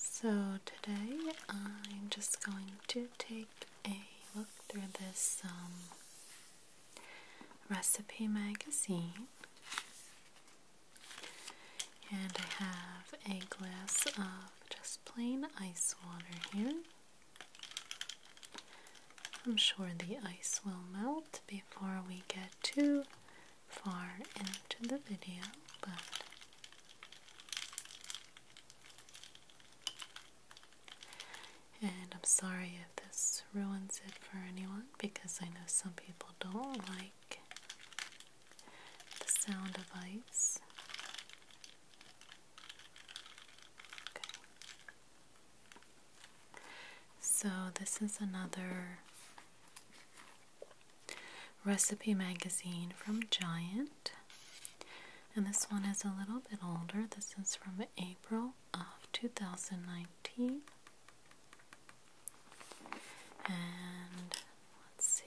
So, today I'm just going to take a look through this um, recipe magazine and I have a glass of just plain ice water here. I'm sure the ice will melt before we get too far into the video, but and I'm sorry if this ruins it for anyone because I know some people don't like the sound of ice. Okay. So, this is another recipe magazine from Giant. And this one is a little bit older. This is from April of 2019. And Let's see.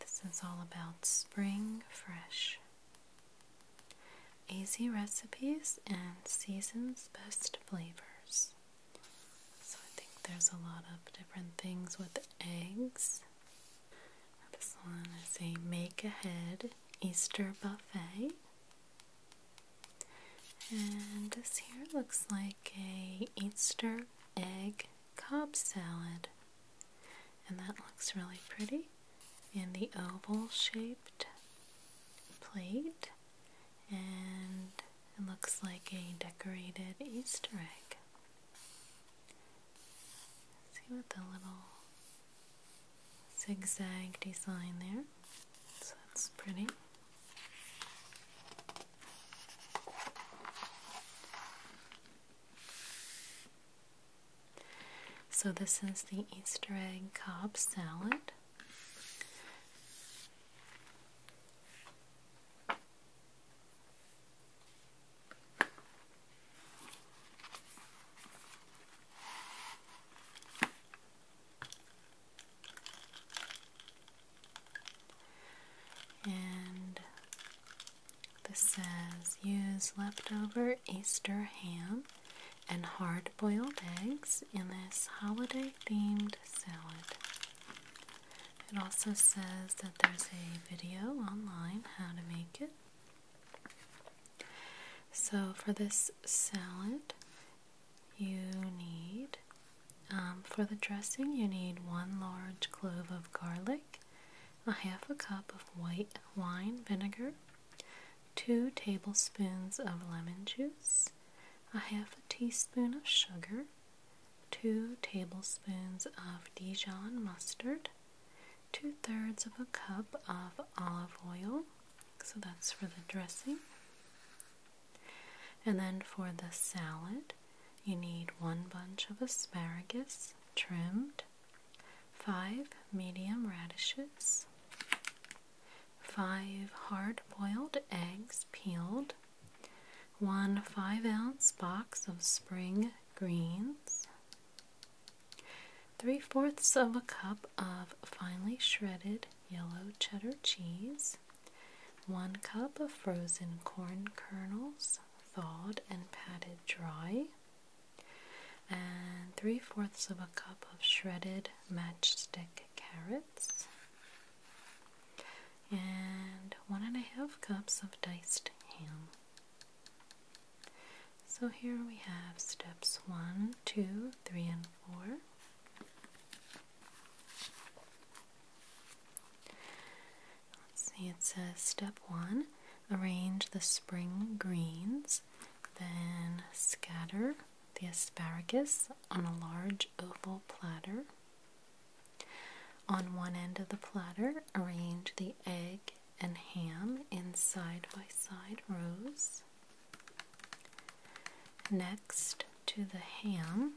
This is all about spring fresh. Easy recipes and season's best flavors. So I think there's a lot of different things with eggs. This one is a make ahead Easter buffet. And this here looks like a Easter egg Cobb salad. And that looks really pretty in the oval shaped plate. And it looks like a decorated Easter egg. See what the little zigzag design there. So that's pretty. So, this is the Easter egg cob salad. And this says use leftover Easter ham and hard boiled eggs in this holiday themed salad. It also says that there's a video online how to make it. So, for this salad, you need um, for the dressing, you need one large clove of garlic, a half a cup of white wine vinegar, two tablespoons of lemon juice, a half a teaspoon of sugar, two tablespoons of Dijon mustard, two thirds of a cup of olive oil. So that's for the dressing. And then for the salad, you need one bunch of asparagus trimmed, five medium radishes, five hard boiled eggs peeled, one five ounce box of spring greens, three fourths of a cup of finely shredded yellow cheddar cheese. One cup of frozen corn kernels, thawed and patted dry, and three fourths of a cup of shredded matchstick carrots, and one and a half cups of diced ham. So here we have steps one, two, three, and four. Let's see, it says step one arrange the spring greens, then scatter the asparagus on a large oval platter. On one end of the platter, arrange the egg and ham in side by side rows. Next to the ham,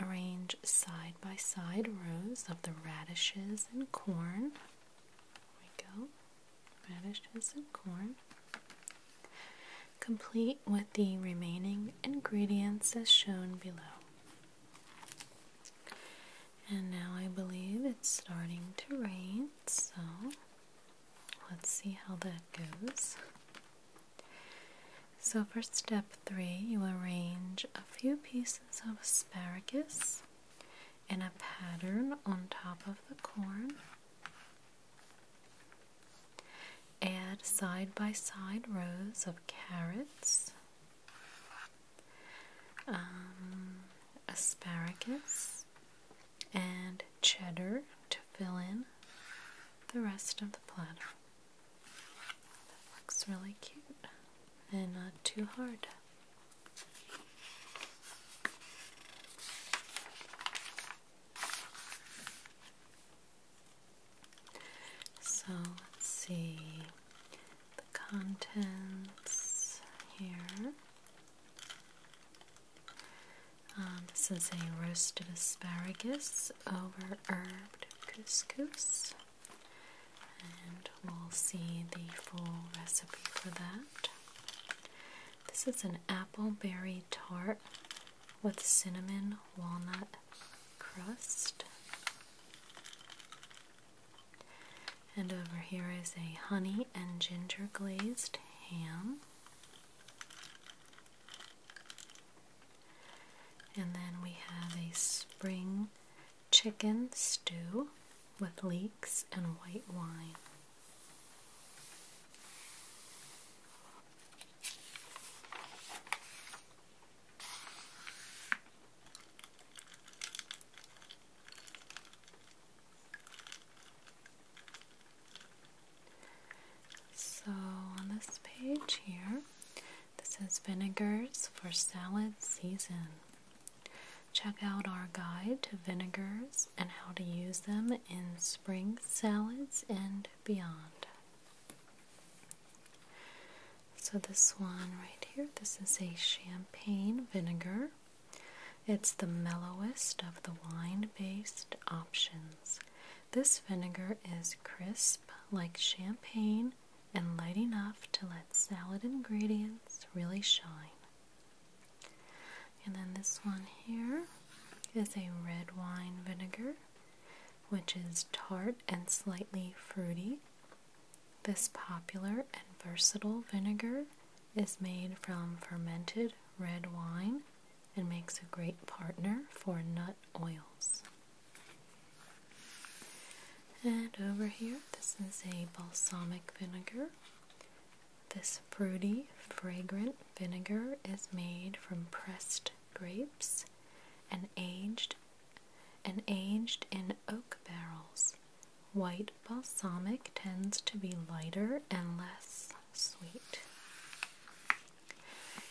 Arrange side by side rows of the radishes and corn. There we go. Radishes and corn. Complete with the remaining ingredients as shown below. And now I believe it's starting to rain, so let's see how that goes. So, for step three, you arrange a few pieces of asparagus in a pattern on top of the corn. Add side by side rows of carrots, um, asparagus, and cheddar to fill in the rest of the platter. That looks really cute and not too hard. So let's see the contents here. Um, this is a roasted asparagus over herbed couscous and we'll see the full recipe for that. This is an apple berry tart with cinnamon walnut crust. And over here is a honey and ginger glazed ham. And then we have a spring chicken stew with leeks and white wine. So on this page here, this is Vinegars for Salad Season. Check out our guide to vinegars and how to use them in spring salads and beyond. So, this one right here, this is a champagne vinegar. It's the mellowest of the wine based options. This vinegar is crisp like champagne and light enough to let salad ingredients really shine. And then this one here is a red wine vinegar, which is tart and slightly fruity. This popular and versatile vinegar is made from fermented red wine and makes a great partner for nut oils. And over here, this is a balsamic vinegar. This fruity, fragrant vinegar is made from pressed grapes and aged and aged in oak barrels. White balsamic tends to be lighter and less sweet.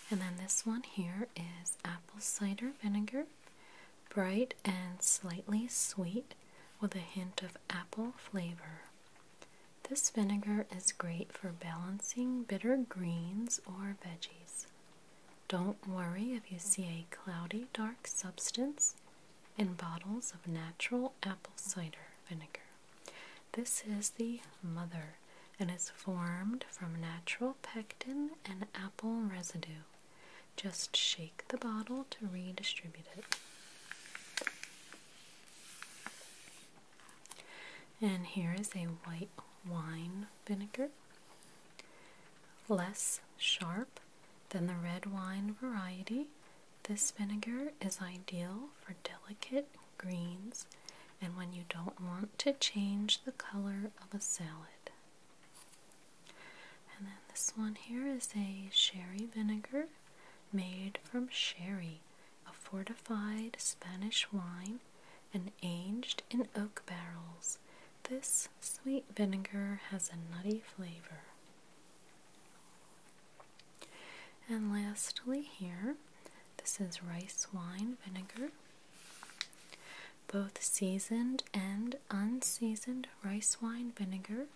And then this one here is apple cider vinegar bright and slightly sweet with a hint of apple flavor. This vinegar is great for balancing bitter greens or veggies. Don't worry if you see a cloudy dark substance in bottles of natural apple cider vinegar. This is the mother and is formed from natural pectin and apple residue. Just shake the bottle to redistribute it. And here is a white wine vinegar, less sharp than the red wine variety. This vinegar is ideal for delicate greens and when you don't want to change the color of a salad. And then this one here is a sherry vinegar made from sherry, a fortified Spanish wine and aged in oak barrels. This sweet vinegar has a nutty flavor. And lastly, here, this is rice wine vinegar. Both seasoned and unseasoned rice wine vinegar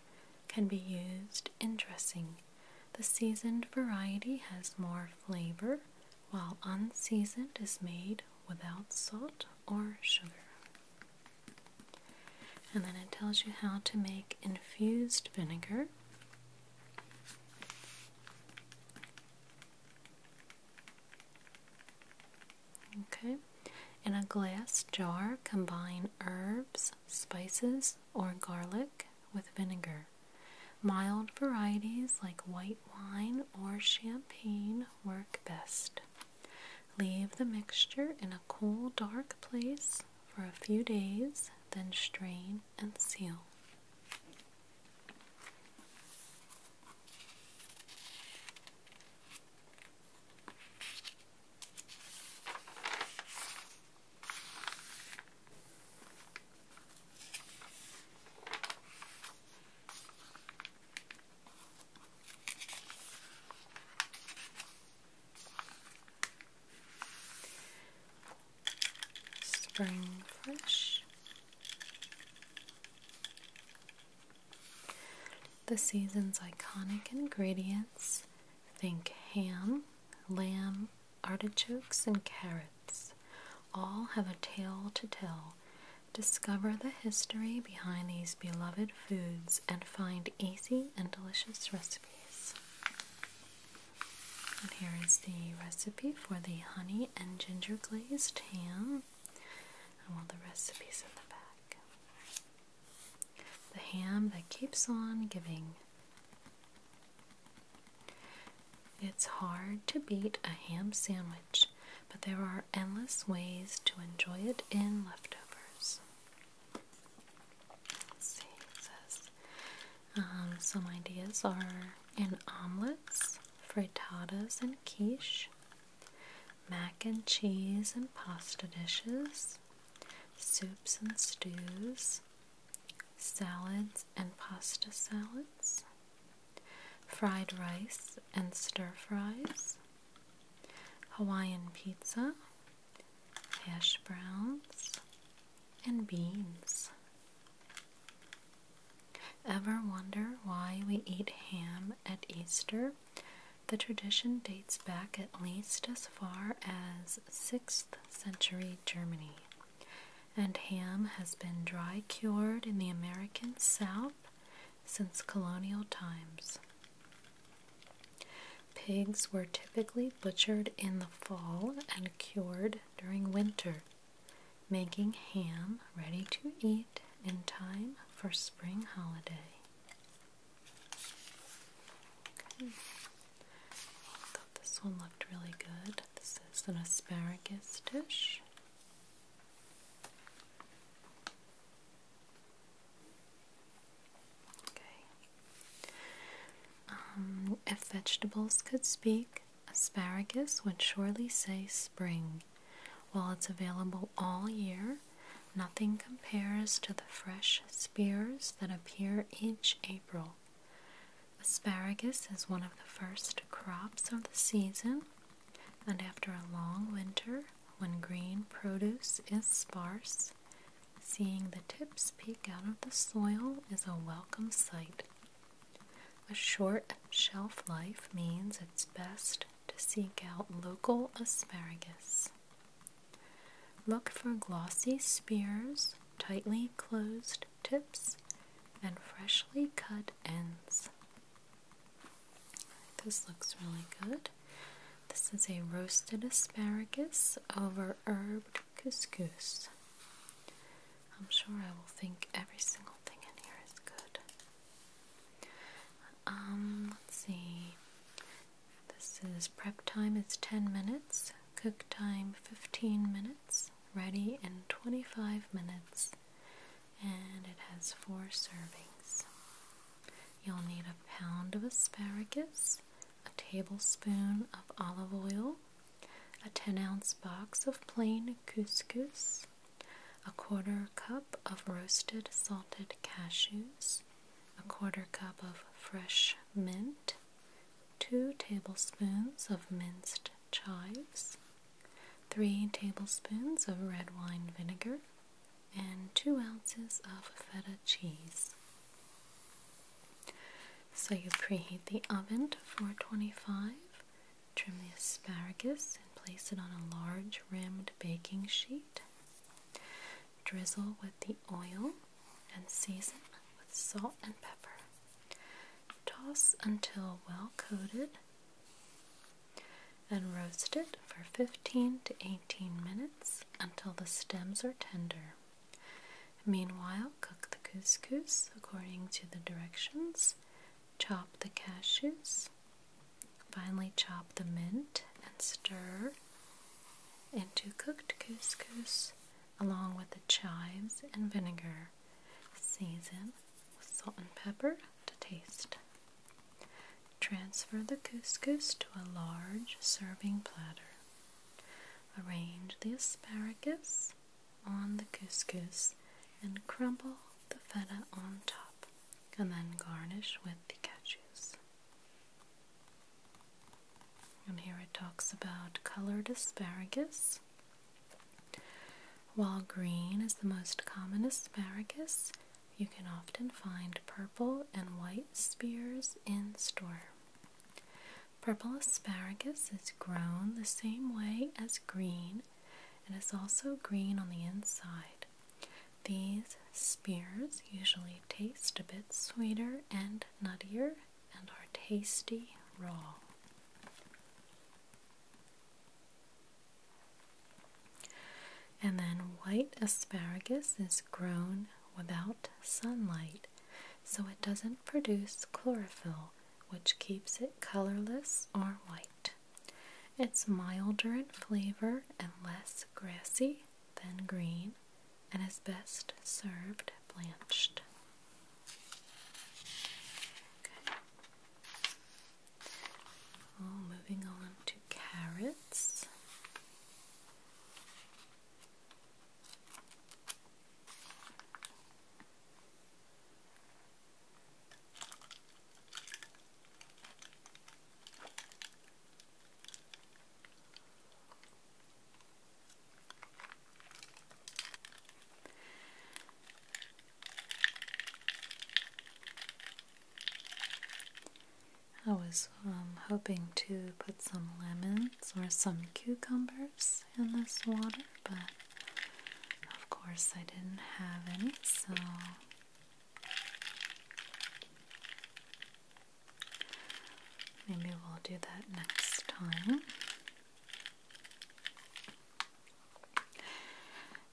can be used in dressing. The seasoned variety has more flavor, while unseasoned is made without salt or sugar. And then it tells you how to make infused vinegar. Okay, in a glass jar, combine herbs, spices, or garlic with vinegar. Mild varieties like white wine or champagne work best. Leave the mixture in a cool, dark place for a few days, then strain and seal. Spring Fresh the season's iconic ingredients think ham, lamb, artichokes, and carrots all have a tale to tell. Discover the history behind these beloved foods and find easy and delicious recipes. And here is the recipe for the honey and ginger glazed ham, and all the recipes in the back. The ham that keeps on giving. It's hard to beat a ham sandwich, but there are endless ways to enjoy it in leftovers. Um, some ideas are in omelets, frittatas, and quiche mac and cheese and pasta dishes, soups and stews, salads and pasta salads, fried rice and stir fries, Hawaiian pizza, hash browns, and beans. Ever wonder why we eat ham at Easter the tradition dates back at least as far as 6th century Germany, and ham has been dry cured in the American South since colonial times. Pigs were typically butchered in the fall and cured during winter, making ham ready to eat in time for spring holiday this one looked really good. This is an asparagus dish. Okay. Um, if vegetables could speak, asparagus would surely say spring. While it's available all year, nothing compares to the fresh spears that appear each April. Asparagus is one of the first crops of the season, and after a long winter, when green produce is sparse, seeing the tips peek out of the soil is a welcome sight. A short shelf life means it's best to seek out local asparagus. Look for glossy spears, tightly closed tips, and freshly cut ends. This looks really good. This is a roasted asparagus over herb couscous. I'm sure I will think every single thing in here is good. Um, let's see. This is prep time It's 10 minutes, cook time 15 minutes, ready in 25 minutes, and it has four servings. You'll need a pound of asparagus, a tablespoon of olive oil, a 10 ounce box of plain couscous, a quarter cup of roasted salted cashews, a quarter cup of fresh mint, two tablespoons of minced chives, three tablespoons of red wine vinegar, and two ounces of feta cheese. So you preheat the oven to 425, trim the asparagus and place it on a large rimmed baking sheet. Drizzle with the oil and season with salt and pepper. Toss until well coated and roast it for 15 to 18 minutes until the stems are tender. Meanwhile, cook the couscous according to the directions, chop the cashews, Finally, chop the mint and stir into cooked couscous along with the chives and vinegar. Season with salt and pepper to taste. Transfer the couscous to a large serving platter. Arrange the asparagus on the couscous and crumble the feta on top, and then garnish with the cashews. And here it talks about colored asparagus. While green is the most common asparagus, you can often find purple and white spears in store. Purple asparagus is grown the same way as green and is also green on the inside. These spears usually taste a bit sweeter and nuttier and are tasty raw. And then white asparagus is grown without sunlight, so it doesn't produce chlorophyll, which keeps it colorless or white. It's milder in flavor and less grassy then green, and is best served blanched. Okay. moving on to carrots. I was um, hoping to put some lemons or some cucumbers in this water, but of course I didn't have any, so Maybe we'll do that next time.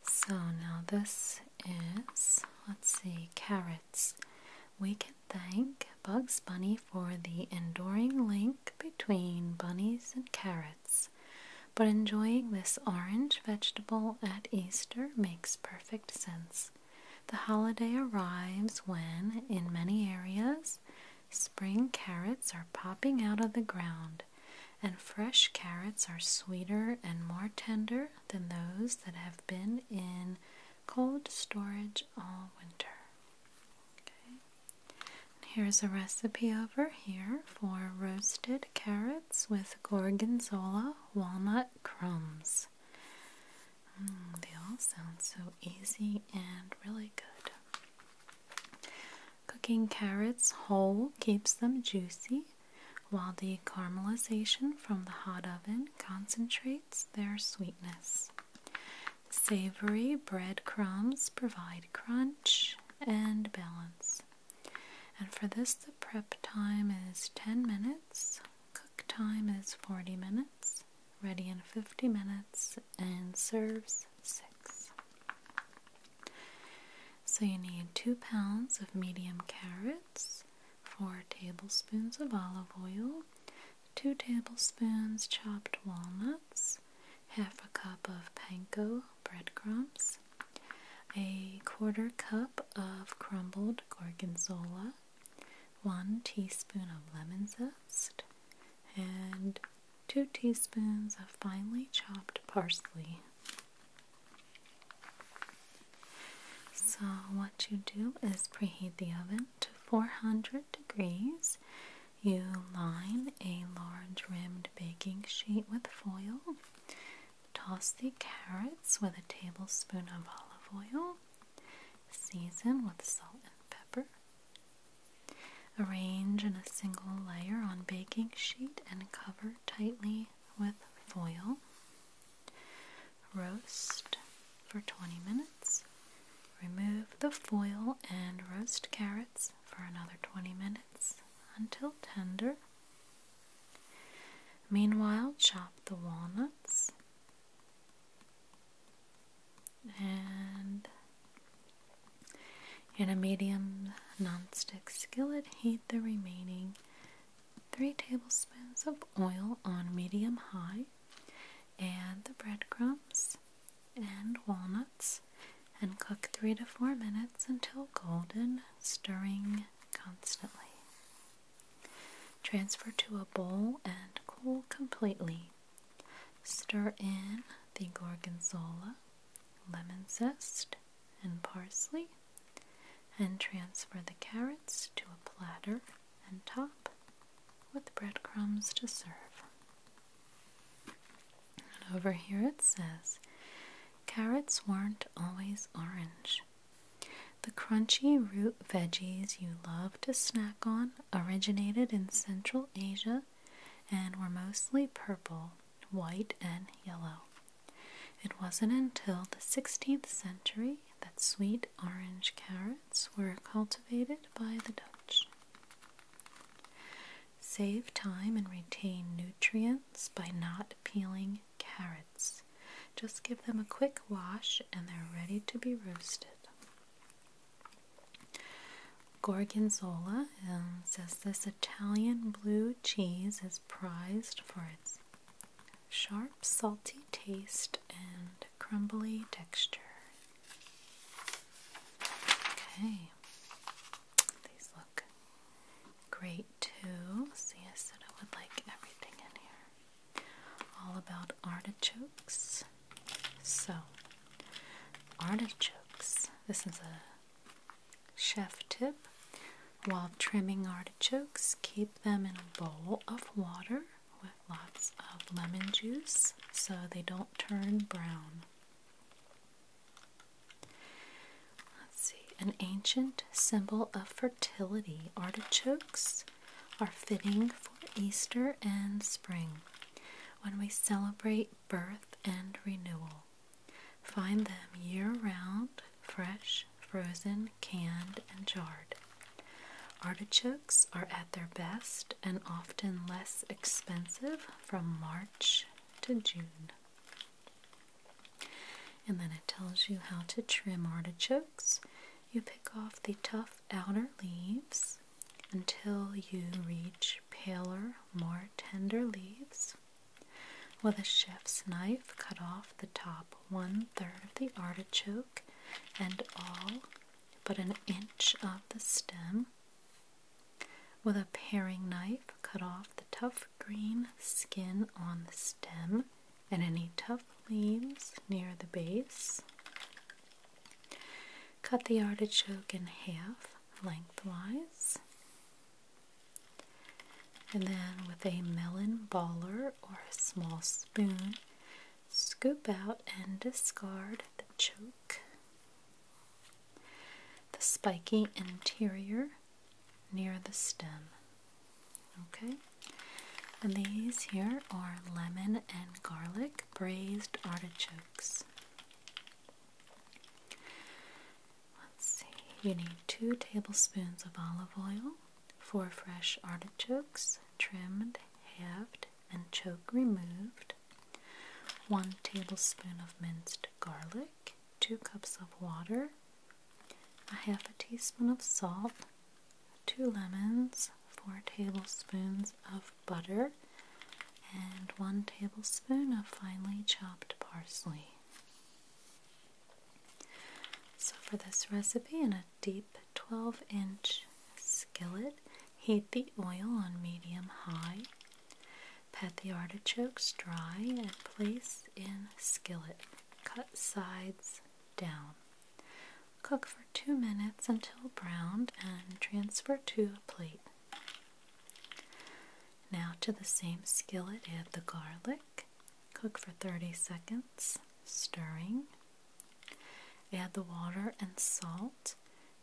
So now this is, let's see, carrots. We can thank Bugs Bunny for the enduring link between bunnies and carrots. But enjoying this orange vegetable at Easter makes perfect sense. The holiday arrives when, in many areas, spring carrots are popping out of the ground, and fresh carrots are sweeter and more tender than those that have been in cold storage all winter. Here's a recipe over here for roasted carrots with gorgonzola walnut crumbs. Mm, they all sound so easy and really good. Cooking carrots whole keeps them juicy, while the caramelization from the hot oven concentrates their sweetness. Savory breadcrumbs provide crunch and balance. And for this, the prep time is 10 minutes Cook time is 40 minutes, ready in 50 minutes, and serves 6. So you need 2 pounds of medium carrots, 4 tablespoons of olive oil, 2 tablespoons chopped walnuts, half a cup of panko breadcrumbs, a quarter cup of crumbled gorgonzola, 1 teaspoon of lemon zest, and 2 teaspoons of finely chopped parsley. So, what you do is preheat the oven to 400 degrees. You line a large rimmed baking sheet with foil. Toss the carrots with a tablespoon of olive oil Season with salt and pepper. Arrange in a single layer on baking sheet and cover tightly with foil. Roast for 20 minutes. Remove the foil and roast carrots for another 20 minutes until tender. Meanwhile, chop the walnuts and in a medium nonstick skillet, heat the remaining 3 tablespoons of oil on medium high. Add the breadcrumbs and walnuts and cook 3 to 4 minutes until golden, stirring constantly. Transfer to a bowl and cool completely. Stir in the gorgonzola, lemon zest, and parsley, and transfer the carrots to a platter and top with breadcrumbs to serve. And over here it says carrots weren't always orange. The crunchy root veggies you love to snack on originated in Central Asia and were mostly purple, white, and yellow. It wasn't until the 16th century that sweet orange carrots were cultivated by the Dutch. Save time and retain nutrients by not peeling carrots. Just give them a quick wash and they're ready to be roasted. Gorgonzola um, says this Italian blue cheese is prized for its sharp, salty taste and crumbly texture. Okay, these look great too. See, I said I would like everything in here all about artichokes. So, artichokes, this is a chef tip. While trimming artichokes, keep them in a bowl of water with lots of lemon juice so they don't turn brown. Let's see, an ancient symbol of fertility. Artichokes are fitting for Easter and spring, when we celebrate birth and renewal. Find them year round, fresh, frozen, canned, and jarred. Artichokes are at their best and often less expensive from March to June. And then it tells you how to trim artichokes. You pick off the tough outer leaves until you reach paler, more tender leaves. With a chef's knife, cut off the top one third of the artichoke and all but an inch of the stem. With a paring knife, cut off the tough green skin on the stem and any tough leaves near the base. Cut the artichoke in half lengthwise. And then, with a melon baller or a small spoon, scoop out and discard the choke. The spiky interior near the stem. Okay? And these here are lemon and garlic braised artichokes. you need two tablespoons of olive oil, four fresh artichokes, trimmed, halved, and choke removed, one tablespoon of minced garlic, two cups of water, a half a teaspoon of salt, two lemons, four tablespoons of butter, and one tablespoon of finely chopped parsley. So, for this recipe, in a deep 12 inch skillet, heat the oil on medium high, pat the artichokes dry, and place in skillet. Cut sides down. Cook for 2 minutes until browned and transfer to a plate. Now to the same skillet add the garlic, cook for 30 seconds, stirring. Add the water and salt,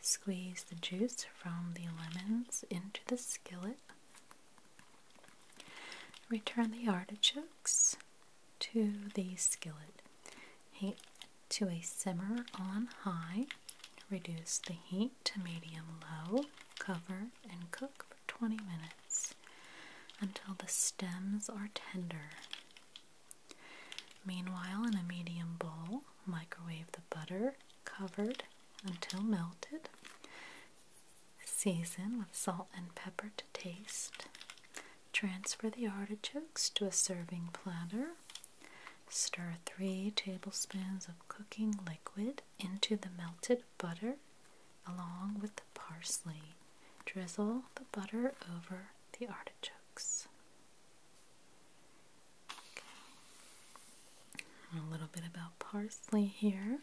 squeeze the juice from the lemons into the skillet. Return the artichokes, to the skillet. Heat to a simmer on high. Reduce the heat to medium low. Cover and cook for 20 minutes until the stems are tender. Meanwhile, in a medium bowl, microwave the butter covered until melted. Season with salt and pepper to taste. Transfer the artichokes to a serving platter. Stir 3 tablespoons of cooking liquid into the melted butter along with the parsley. Drizzle the butter over the artichokes. A little bit about parsley here.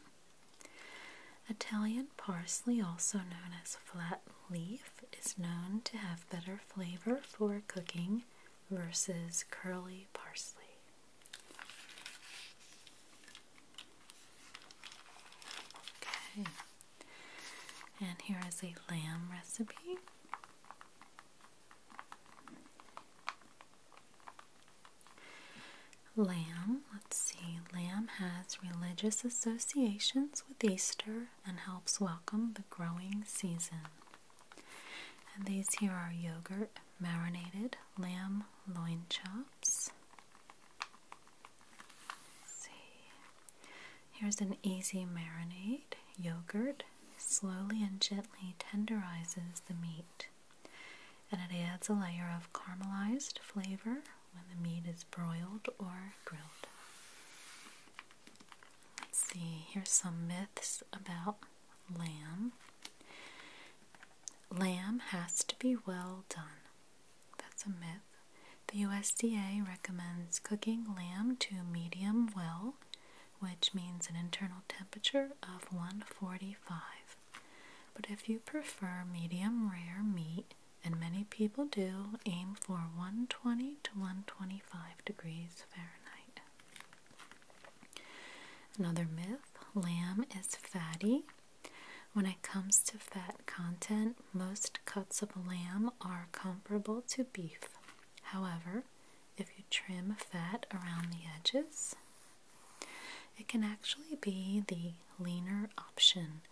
Italian parsley, also known as flat leaf is known to have better flavor for cooking versus curly parsley. Okay, and here is a lamb recipe. Lamb, let's see, lamb has religious associations with Easter and helps welcome the growing season. And these here are yogurt marinated lamb loin chops. see. Here's an easy marinade. Yogurt slowly and gently tenderizes the meat. And it adds a layer of caramelized flavor when the meat is broiled or grilled. Let's see, here's some myths about lamb. Lamb has to be well done. That's a myth. The USDA recommends cooking lamb to medium well, which means an internal temperature of 145. But if you prefer medium rare meat, and many people do aim for 120 to 125 degrees Fahrenheit. Another myth lamb is fatty. When it comes to fat content, most cuts of lamb are comparable to beef. However, if you trim fat around the edges, it can actually be the leaner option.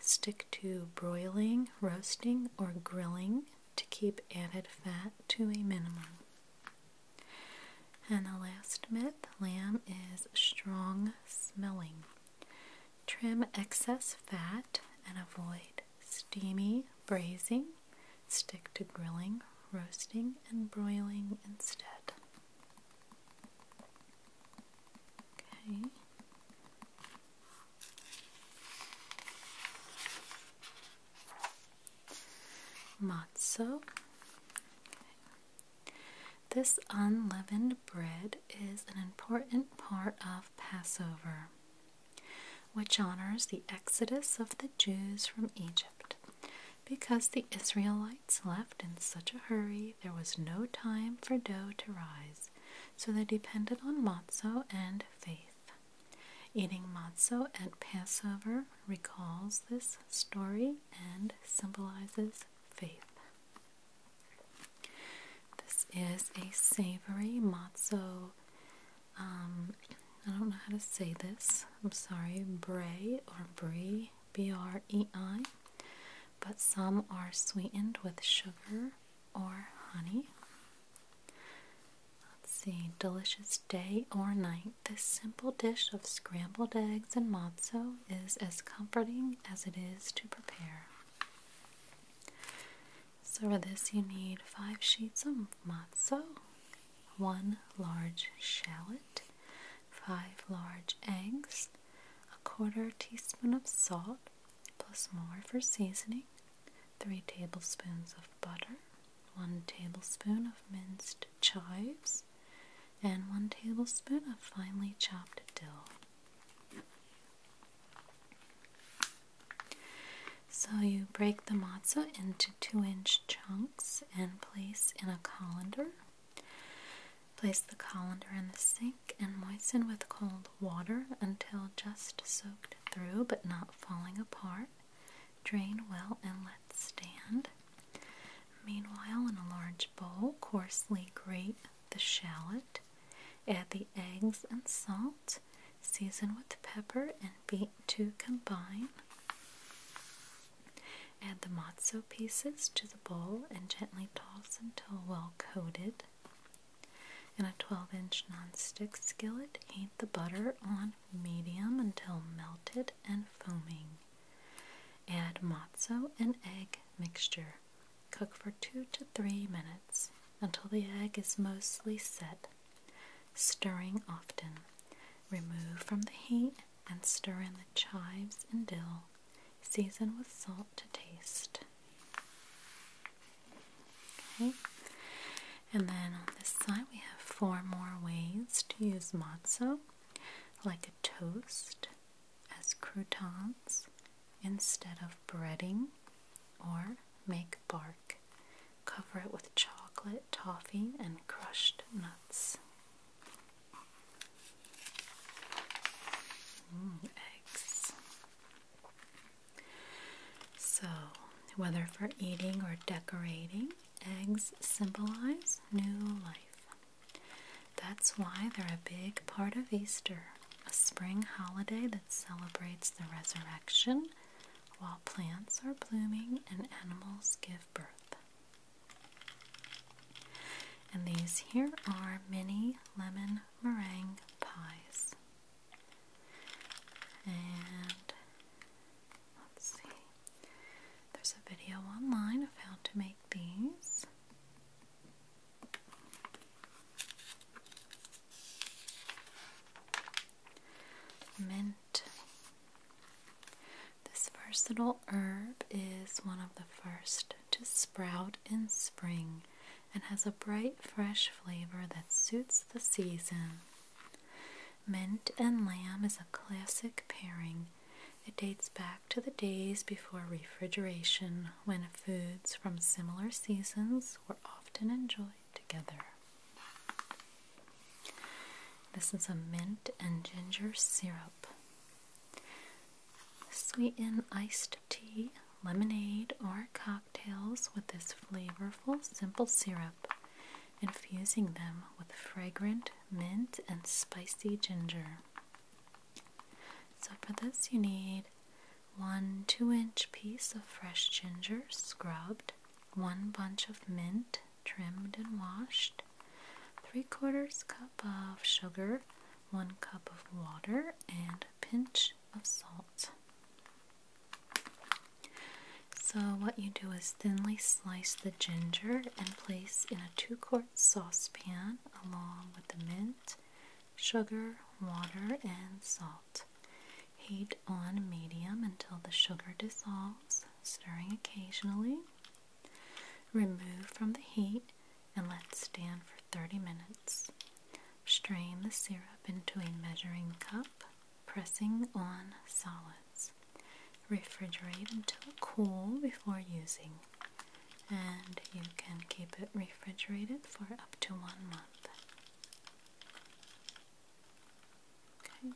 Stick to broiling, roasting, or grilling to keep added fat to a minimum. And the last myth lamb is strong smelling. Trim excess fat and avoid steamy braising. Stick to grilling, roasting, and broiling instead. Okay. Matzo. This unleavened bread is an important part of Passover, which honors the exodus of the Jews from Egypt. Because the Israelites left in such a hurry, there was no time for dough to rise, so they depended on matzo and Eating matzo at Passover recalls this story and symbolizes faith. This is a savory matzo. Um, I don't know how to say this. I'm sorry, brie or brie, b r e i. But some are sweetened with sugar or honey. Let's see, delicious day or night. This simple dish of scrambled eggs and matzo is as comforting as it is to prepare. So, for this, you need five sheets of matzo, one large shallot, five large eggs, a quarter teaspoon of salt, plus more for seasoning, 3 tablespoons of butter, 1 tablespoon of minced chives, and 1 tablespoon of finely chopped dill. So you break the matzo into 2 inch chunks and place in a colander. Place the colander in the sink and moisten with cold water until just soaked through but not falling apart. Drain well and let stand. Meanwhile, in a large bowl, coarsely grate the shallot. Add the eggs and salt. Season with pepper and beat to combine. Add the matzo pieces to the bowl and gently toss until well coated. In a 12 inch nonstick skillet, heat the butter on medium until melted and foaming. Add matzo and egg mixture. Cook for 2 to 3 minutes until the egg is mostly set, stirring often. Remove from the heat and stir in the chives and dill. Season with salt to taste. Okay, and then on this side we have four more ways to use matzo, like a toast, as croutons instead of breading, or make bark. Cover it with chocolate, toffee, and crushed nuts. eggs. So, whether for eating or decorating, eggs symbolize new life. That's why they're a big part of Easter, a spring holiday that celebrates the resurrection while plants are blooming and animals give birth. And these here are mini lemon meringue pies. And let's see, there's a video online of how to make these. Mint. This versatile herb is one of the first to sprout in spring and has a bright, fresh flavor that suits the season. Mint and lamb is a classic pairing. It dates back to the days before refrigeration when foods from similar seasons were often enjoyed together. This is a mint and ginger syrup. Sweeten iced tea lemonade, or cocktails with this flavorful, simple syrup, infusing them with fragrant mint and spicy ginger. So, for this, you need one 2 inch piece of fresh ginger scrubbed, one bunch of mint trimmed and washed, 3 quarters cup of sugar, 1 cup of water, and a pinch of salt. So, what you do is thinly slice the ginger and place in a two quart saucepan along with the mint, sugar, water, and salt. Heat on medium until the sugar dissolves, stirring occasionally. Remove from the heat and let stand for 30 minutes. Strain the syrup into a measuring cup pressing on solids. Refrigerate until cool before using, and you can keep it refrigerated for up to one month. Okay.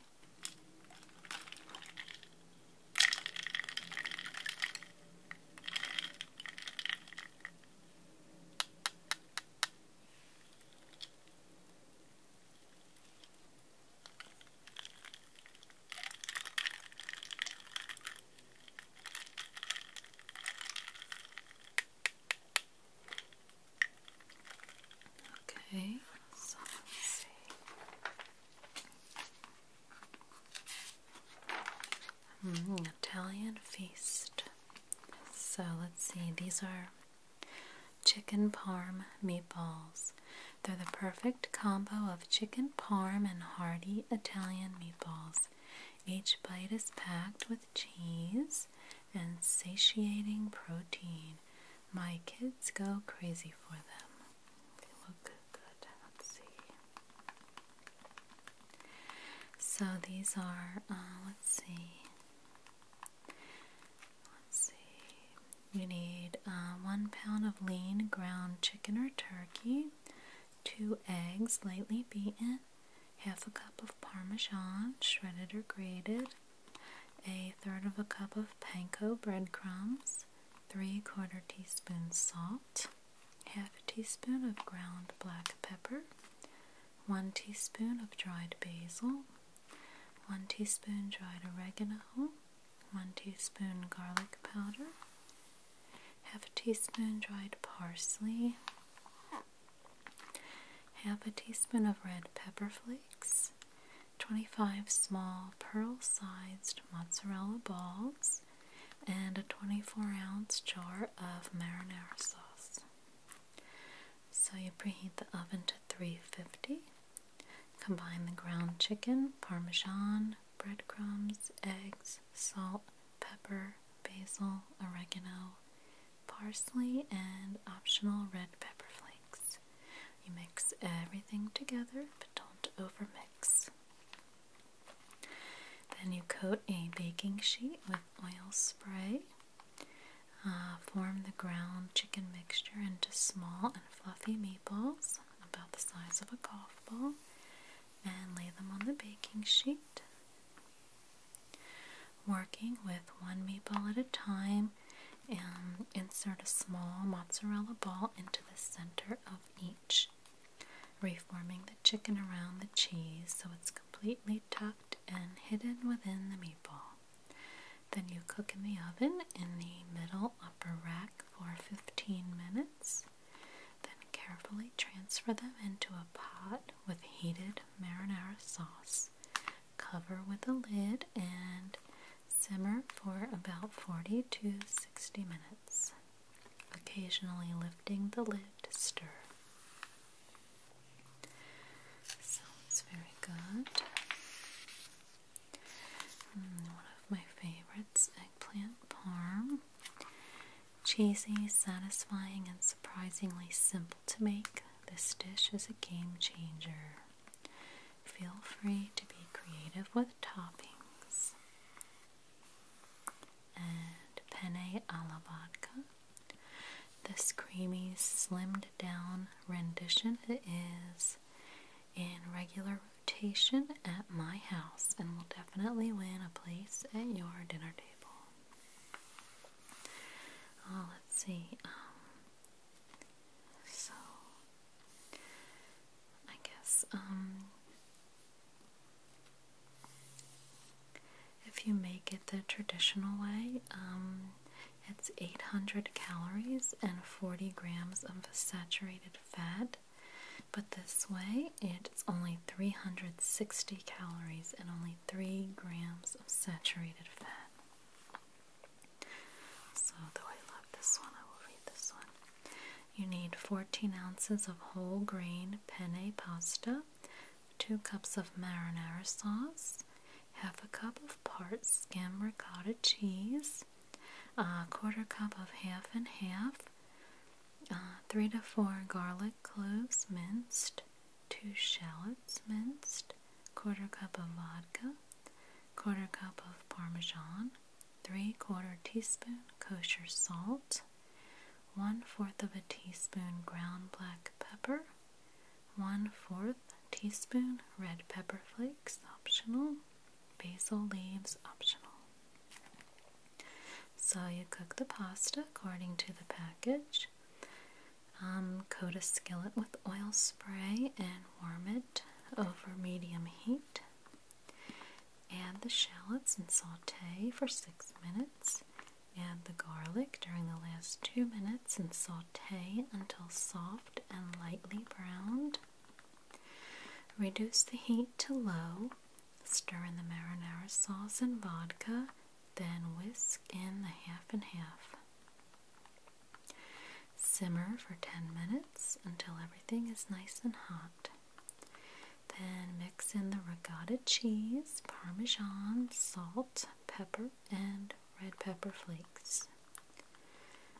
Okay, let's see. Hmm, Italian feast. So let's see, these are Chicken parm meatballs. They're the perfect combo of chicken parm and hearty Italian meatballs. Each bite is packed with cheese and satiating protein. My kids go crazy for them. They look good. Let's see. So these are, uh, let's see, Let's see. You need um, one pound of lean ground chicken or turkey, two eggs lightly beaten, half a cup of parmesan, shredded or grated, a third of a cup of panko breadcrumbs, three quarter teaspoon salt, half a teaspoon of ground black pepper, 1 teaspoon of dried basil, 1 teaspoon dried oregano, 1 teaspoon garlic powder, half a teaspoon dried parsley, half a teaspoon of red pepper flakes, 25 small pearl sized mozzarella balls, and a 24 ounce jar of marinara sauce. So you preheat the oven to 350. Combine the ground chicken, parmesan, breadcrumbs, eggs, salt, pepper, basil, oregano, parsley, and optional red pepper flakes. You mix everything together, but don't overmix. Then you coat a baking sheet with oil spray uh, form the ground chicken mixture into small and fluffy meatballs about the size of a golf ball and lay them on the baking sheet. Working with one meatball at a time, um, insert a small mozzarella ball into the center of each, reforming the chicken around the cheese so it's completely tucked and hidden within the meatball. Then you cook in the oven in the middle upper rack for 15 minutes. Then carefully transfer them into a pot with heated marinara sauce. Cover with a lid and simmer for about 40 to 60 minutes, occasionally lifting the lid to stir. Sounds very good. Mm, one of my favorites eggplant parm. Cheesy, satisfying, and surprisingly simple to make, this dish is a game changer. Feel free to be creative with toppings. And penne alla vodka. This creamy, slimmed down rendition is in regular rotation at my house and will definitely win a place at your dinner table. Oh, let's see. Um, so, I guess, um, if you make it the traditional way, um, it's 800 calories and 40 grams of saturated fat. But this way, it's only 360 calories and only 3 grams of saturated fat. So, though I love this one, I will read this one. You need 14 ounces of whole grain penne pasta, 2 cups of marinara sauce, half a cup of part skim ricotta cheese, a quarter cup of half and half, uh, three to four garlic cloves minced, two shallots minced, quarter cup of vodka, quarter cup of parmesan, three quarter teaspoon kosher salt, one fourth of a teaspoon ground black pepper, 1 4th teaspoon red pepper flakes, optional, basil leaves, optional. So you cook the pasta according to the package. Um, coat a skillet with oil spray and warm it over medium heat. Add the shallots and saute for six minutes. Add the garlic during the last two minutes and saute until soft and lightly browned. Reduce the heat to low, stir in the marinara sauce and vodka, then whisk in the half and half. Simmer for 10 minutes until everything is nice and hot. Then mix in the ricotta cheese, parmesan, salt, pepper, and red pepper flakes.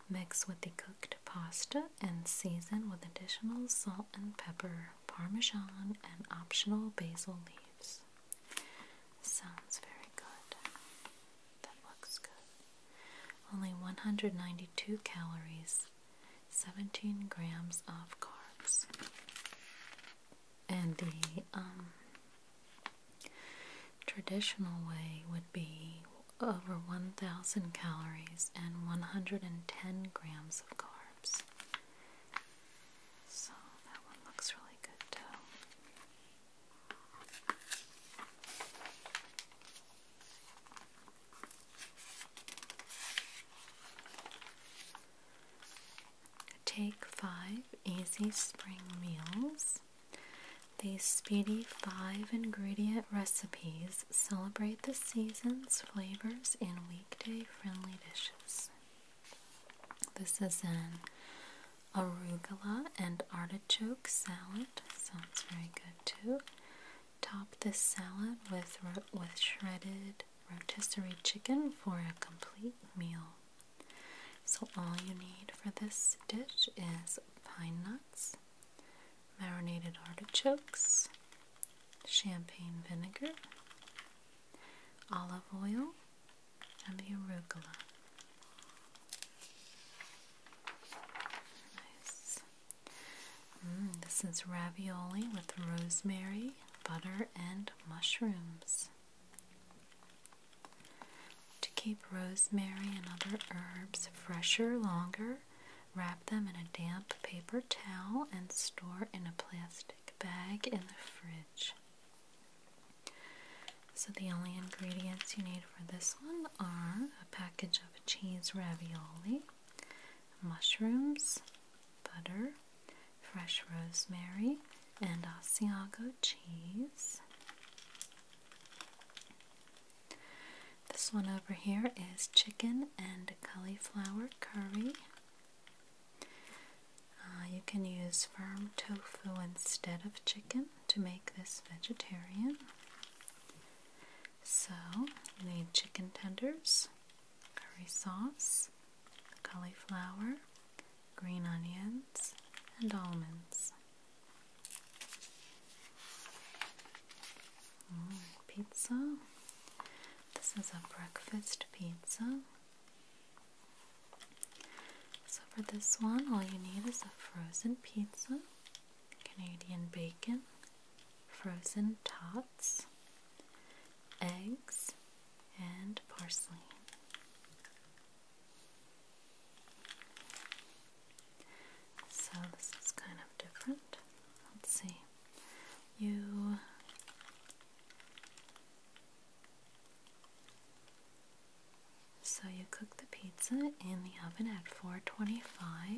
Mix with the cooked pasta and season with additional salt and pepper, parmesan, and optional basil leaves. Sounds very good. That looks good. Only 192 calories, 17 grams of carbs. And the um Traditional way would be over 1,000 calories and 110 grams of carbs. So that one looks really good too. Take five easy spring meals. These speedy five ingredient recipes celebrate the season's flavors in weekday friendly dishes. This is an arugula and artichoke salad. Sounds very good too. Top this salad with, with shredded rotisserie chicken for a complete meal. So, all you need for this dish is pine nuts, marinated artichokes, champagne vinegar, olive oil, and the arugula. Nice. Mm, this is ravioli with rosemary, butter, and mushrooms. To keep rosemary and other herbs fresher longer, wrap them in a damp paper towel and store in a plastic bag in the fridge. So, the only ingredients you need for this one are a package of cheese ravioli, mushrooms, butter, fresh rosemary, and Asiago cheese, this one over here is chicken and cauliflower curry. Uh, you can use firm tofu instead of chicken to make this vegetarian. So, you need chicken tenders, curry sauce, cauliflower, green onions, and almonds. Mm, pizza. This is a breakfast pizza. So, for this one, all you need is a frozen pizza, Canadian bacon, frozen tots, eggs, and parsley. So this is kind of different. Let's see. You So you cook the pizza in the oven at 425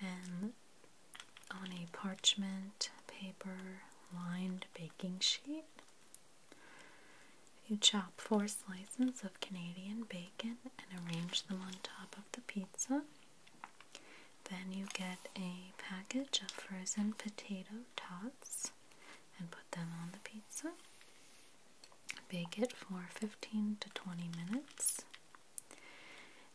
and on a parchment paper lined baking sheet you chop four slices of Canadian bacon and arrange them on top of the pizza. Then you get a package of frozen potato tots and put them on the pizza. Bake it for 15 to 20 minutes.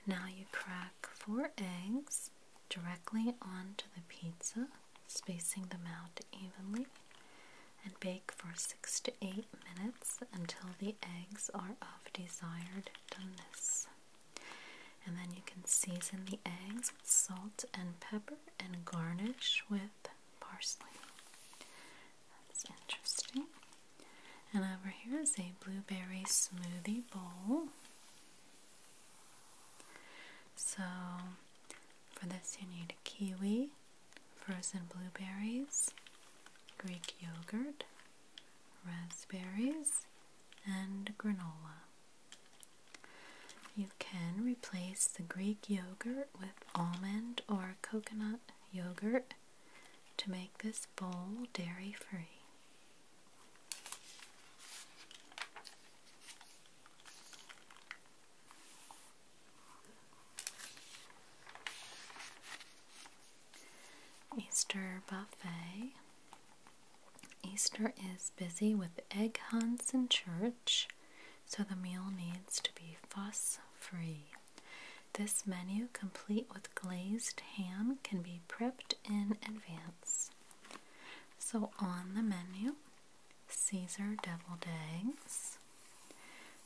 Now you crack four eggs directly onto the pizza spacing them out evenly, and bake for 6 to 8 minutes until the eggs are of desired doneness. And then you can season the eggs with salt and pepper and garnish with parsley. That's interesting. And over here is a blueberry smoothie bowl. So, for this, you need a kiwi, frozen blueberries, Greek yogurt, raspberries, and granola. You can replace the Greek yogurt with almond or coconut yogurt to make this bowl dairy free. Easter buffet. Easter is busy with egg hunts and church, so the meal needs to be fuss free. This menu, complete with glazed ham, can be prepped in advance. So, on the menu, Caesar deviled eggs,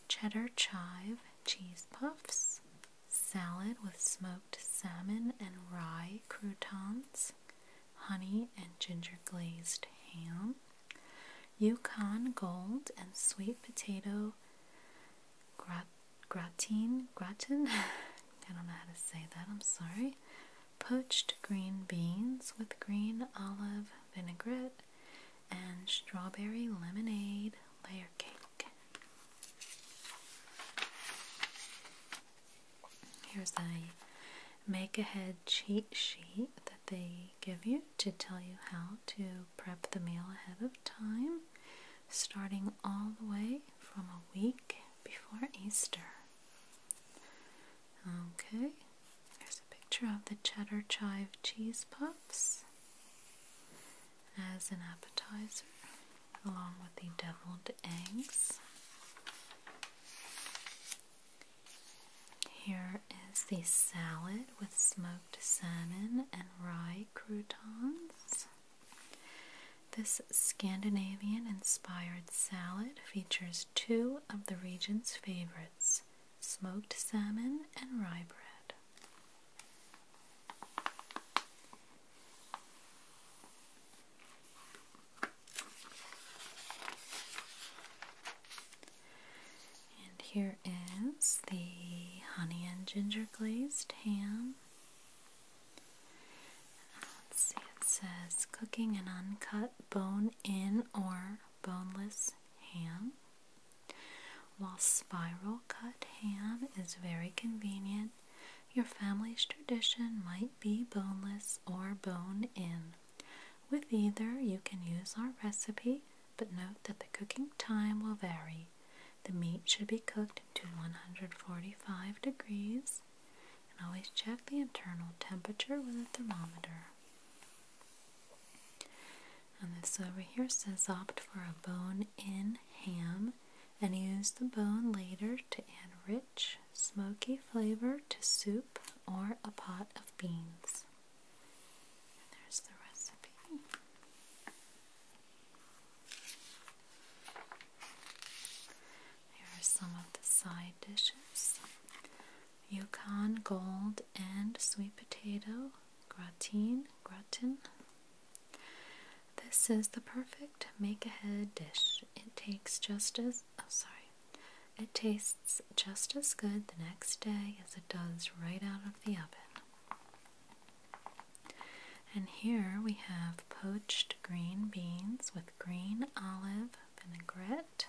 cheddar chive cheese puffs, salad with smoked salmon and rye croutons, honey and ginger glazed ham, Yukon gold and sweet potato grat gratin gratin I don't know how to say that, I'm sorry. Poached green beans with green olive vinaigrette, and strawberry lemonade layer cake. Here's a make ahead cheat sheet that they give you to tell you how to prep the meal ahead of time, starting all the way from a week before Easter. Okay, here's a picture of the cheddar chive cheese puffs as an appetizer, along with the deviled eggs. Here is the salad with smoked salmon and rye croutons. This Scandinavian inspired salad features two of the region's favorites smoked salmon, and rye bread. And here is the honey and ginger glazed ham. see, it says cooking an uncut bone in or boneless ham. While spiral cut ham is very convenient, your family's tradition might be boneless or bone in. With either, you can use our recipe, but note that the cooking time will vary. The meat should be cooked to 145 degrees, and always check the internal temperature with a thermometer. And this over here says opt for a bone in ham and use the bone later to add rich, smoky flavor to soup or a pot of beans. there's the recipe. Here are some of the side dishes. Yukon Gold and Sweet Potato Gratin. Gratin. This is the perfect make-ahead dish. It takes just as oh sorry. It tastes just as good the next day as it does right out of the oven. And here we have poached green beans with green olive vinaigrette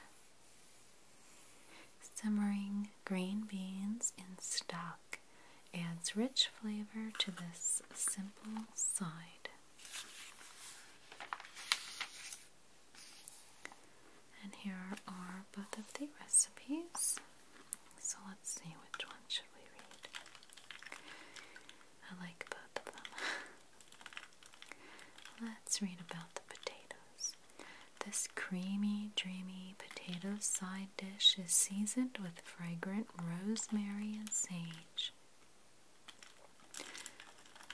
Simmering green beans in stock adds rich flavor to this simple side. And here are both of the recipes. So let's see which one should we read. I like both of them. let's read about the potatoes. This creamy, dreamy potato side dish is seasoned with fragrant rosemary and sage.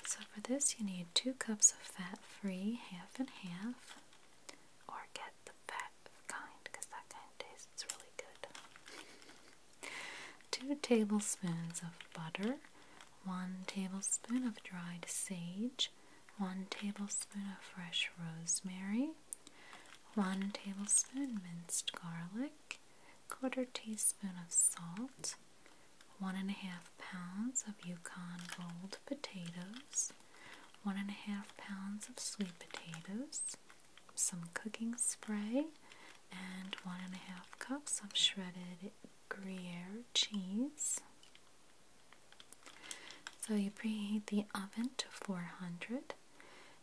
So, for this, you need two cups of fat free, half and half, or get the fat kind because that kind tastes really good. two tablespoons of butter, one tablespoon of dried sage, 1 tablespoon of fresh rosemary, 1 tablespoon minced garlic, quarter teaspoon of salt, 1 pounds of Yukon Gold potatoes, 1 pounds of sweet potatoes, some cooking spray, and 1 and a cups of shredded Gruyere cheese. So you preheat the oven to 400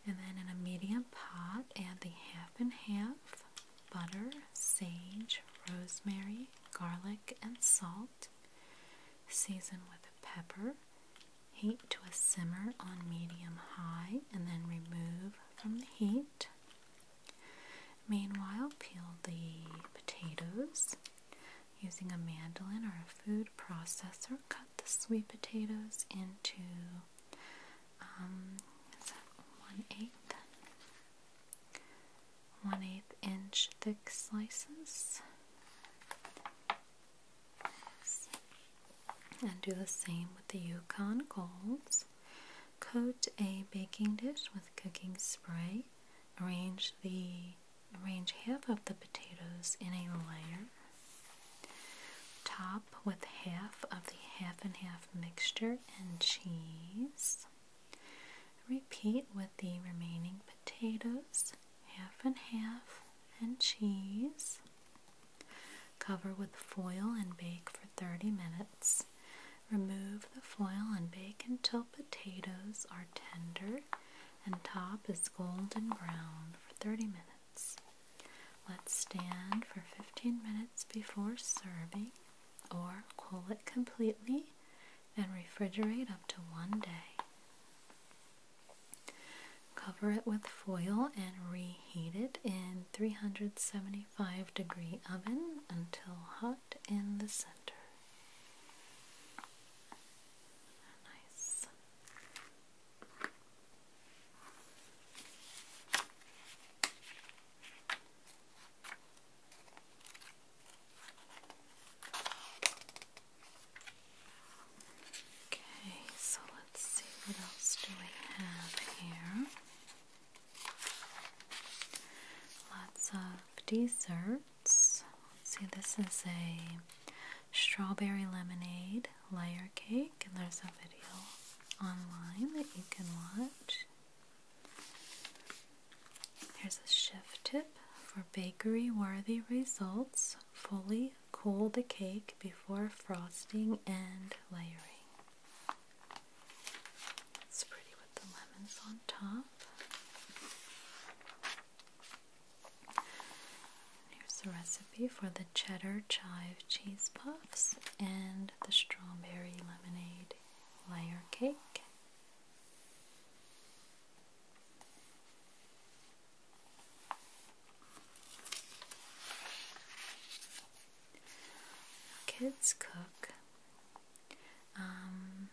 and then in a medium pot add the half and half butter, sage, rosemary, garlic, and salt. Season with pepper. Heat to a simmer on medium high and then remove from the heat. Meanwhile, peel the potatoes. Using a mandolin or a food processor, cut the sweet potatoes into um, one eighth, one eighth inch thick slices, and do the same with the Yukon Golds. Coat a baking dish with cooking spray. Arrange the Arrange half of the potatoes in a layer. Top with half of the half and half mixture and cheese. Repeat with the remaining potatoes, half and half, and cheese. Cover with foil and bake for 30 minutes. Remove the foil and bake until potatoes are tender and top is golden brown for 30 minutes. Let stand for 15 minutes before serving or cool it completely and refrigerate up to one day. Cover it with foil and reheat it in 375 degree oven until hot in the center. Okay, so let's see what else do we have here. Lots of dessert. Let's see, this is a strawberry lemonade layer cake, and there's a video online that you can watch. Here's a chef tip for bakery worthy results fully cool the cake before frosting and layering. It's pretty with the lemons on top. Here's the recipe for the cheddar chive cheese puffs and the strawberry lemonade layer cake. Kids cook um,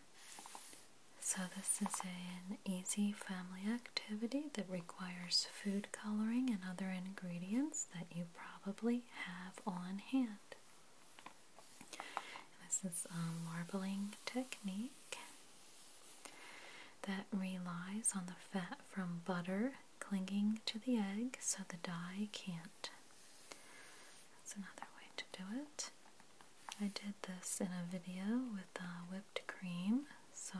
so, this is an easy family activity that requires food coloring and other ingredients that you probably have on hand. this is a marbling technique that relies on the fat from butter clinging to the egg so the dye can't. That's another way to do it. I did this in a video with uh, whipped cream, so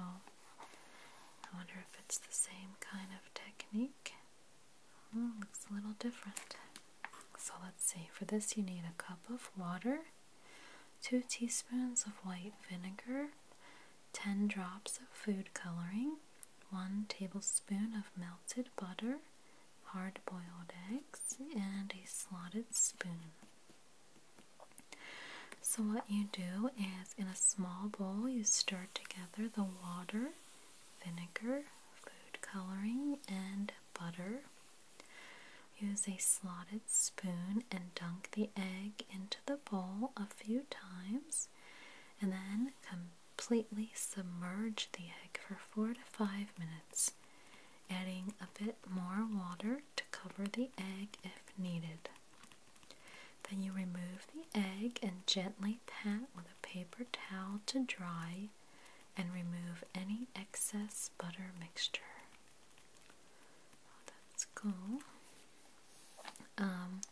I wonder if it's the same kind of technique. Oh, looks a little different. So let's see, for this you need a cup of water, 2 teaspoons of white vinegar, 10 drops of food coloring, 1 tablespoon of melted butter, hard boiled eggs, and a slotted spoon. So, what you do is in a small bowl, you stir together the water, vinegar, food coloring, and butter. Use a slotted spoon and dunk the egg into the bowl a few times, and then completely submerge the egg for four to five minutes, adding a bit more water to cover the egg if needed. Then you remove the egg and gently pat with a paper towel to dry and remove any excess butter mixture. Oh, that's cool. Um,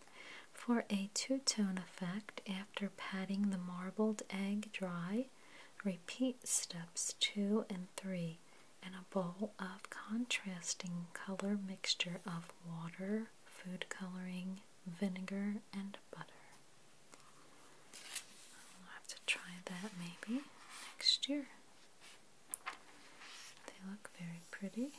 for a two-tone effect, after patting the marbled egg dry, repeat steps 2 and 3 and a bowl of contrasting color mixture of water, food coloring, vinegar, and butter. I'll have to try that maybe next year. They look very pretty.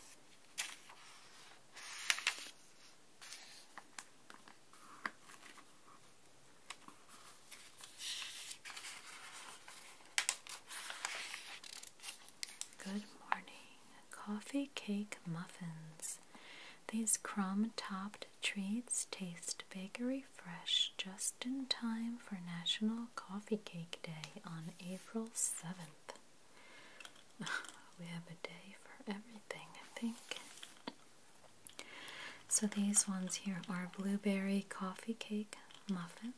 Good morning, coffee cake muffins. These crumb topped treats taste bakery fresh just in time for National Coffee Cake Day on April 7th. we have a day for everything, I think. So these ones here are blueberry coffee cake muffins.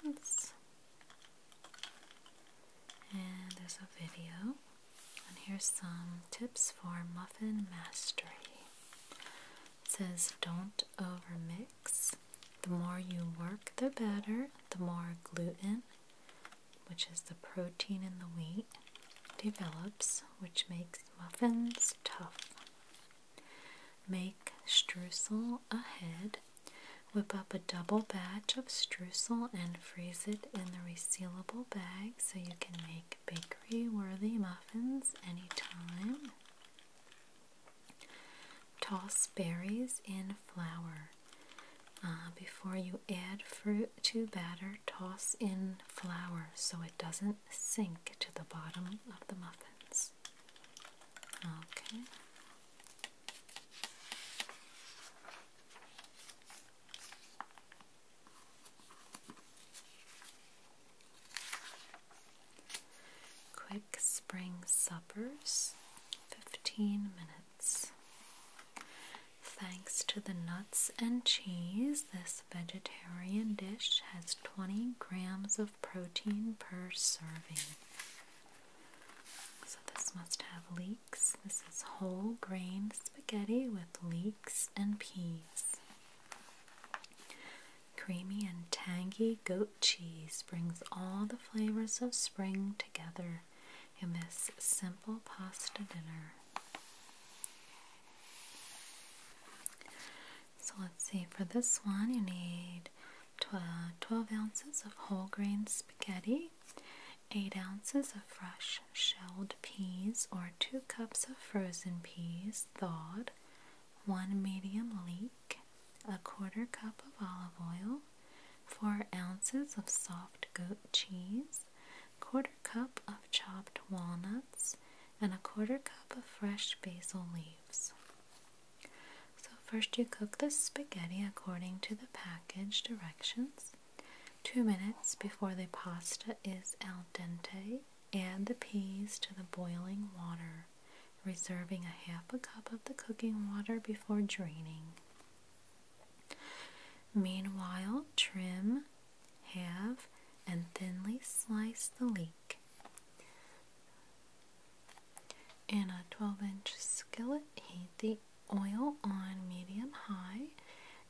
And there's a video. And here's some tips for muffin mastery. It says don't overmix. The more you work, the better. The more gluten, which is the protein in the wheat, develops, which makes muffins tough. Make streusel ahead. Whip up a double batch of streusel and freeze it in the resealable bag so you can make bakery worthy muffins anytime. Toss berries in flour. Uh, before you add fruit to batter, toss in flour so it doesn't sink to the bottom of the muffins. Okay. Quick spring suppers, 15 minutes. Thanks to the nuts and cheese, this vegetarian dish has 20 grams of protein per serving. So, this must have leeks. This is whole grain spaghetti with leeks and peas. Creamy and tangy goat cheese brings all the flavors of spring together in this simple pasta dinner. So let's see, for this one, you need 12, ounces of whole grain spaghetti, 8 ounces of fresh shelled peas, or 2 cups of frozen peas thawed, 1 medium leek, a quarter cup of olive oil, 4 ounces of soft goat cheese, quarter cup of chopped walnuts, and a quarter cup of fresh basil leaves. So, first you cook the spaghetti according to the package directions. Two minutes before the pasta is al dente, add the peas to the boiling water, reserving a half a cup of the cooking water before draining. Meanwhile, trim, halve, and thinly slice the leek. In a 12 inch skillet, heat the oil on medium high,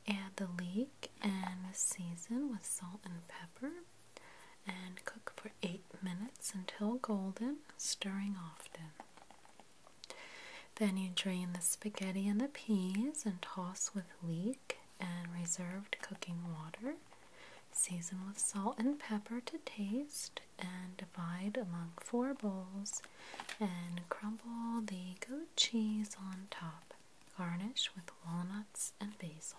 add the leek and season with salt and pepper, and cook for 8 minutes until golden, stirring often. Then you drain the spaghetti and the peas and toss with leek and reserved cooking water. Season with salt and pepper to taste and divide among four bowls and crumble the goat cheese on top. Garnish with walnuts and basil.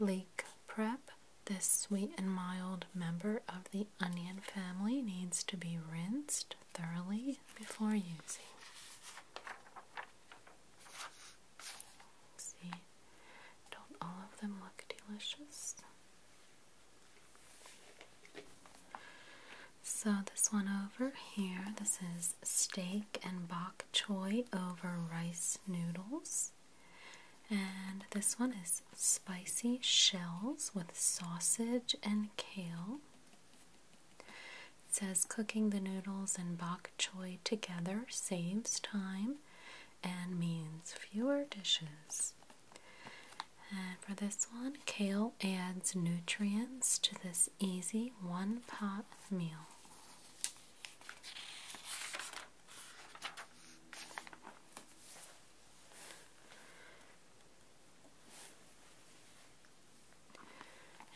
Leek prep. This sweet and mild member of the onion family needs to be rinsed thoroughly before using see, don't all of them look delicious? So, this one over here, this is steak and bok choy over rice noodles. And this one is spicy shells with sausage and kale. It says cooking the noodles and bok choy together saves time and means fewer dishes. And for this one, kale adds nutrients to this easy one pot meal.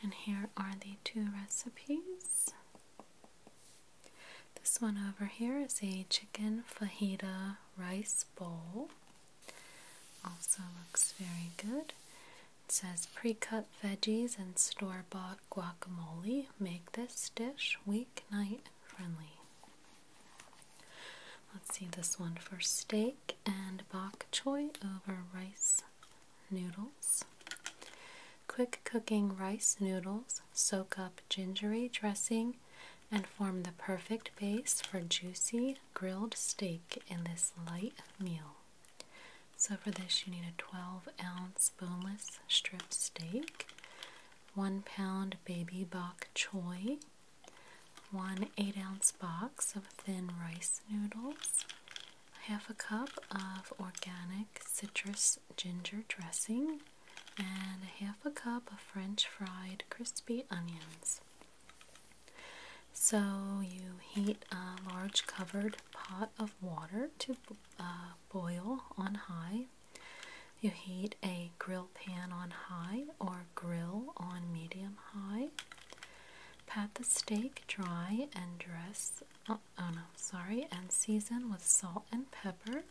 And here are the two recipes. This one over here is a chicken fajita rice bowl. Also looks very good. It says pre cut veggies and store bought guacamole make this dish weeknight friendly. Let's see this one for steak and bok choy over rice noodles. Quick cooking rice noodles soak up gingery dressing and form the perfect base for juicy grilled steak in this light meal. So, for this, you need a 12 ounce boneless strip steak, one pound baby bok choy, one 8 ounce box of thin rice noodles, half a cup of organic citrus ginger dressing and half a cup of French fried crispy onions. So you heat a large covered pot of water to uh, boil on high. You heat a grill pan on high or grill on medium high. Pat the steak dry and dress uh, oh no, sorry, and season with salt and pepper.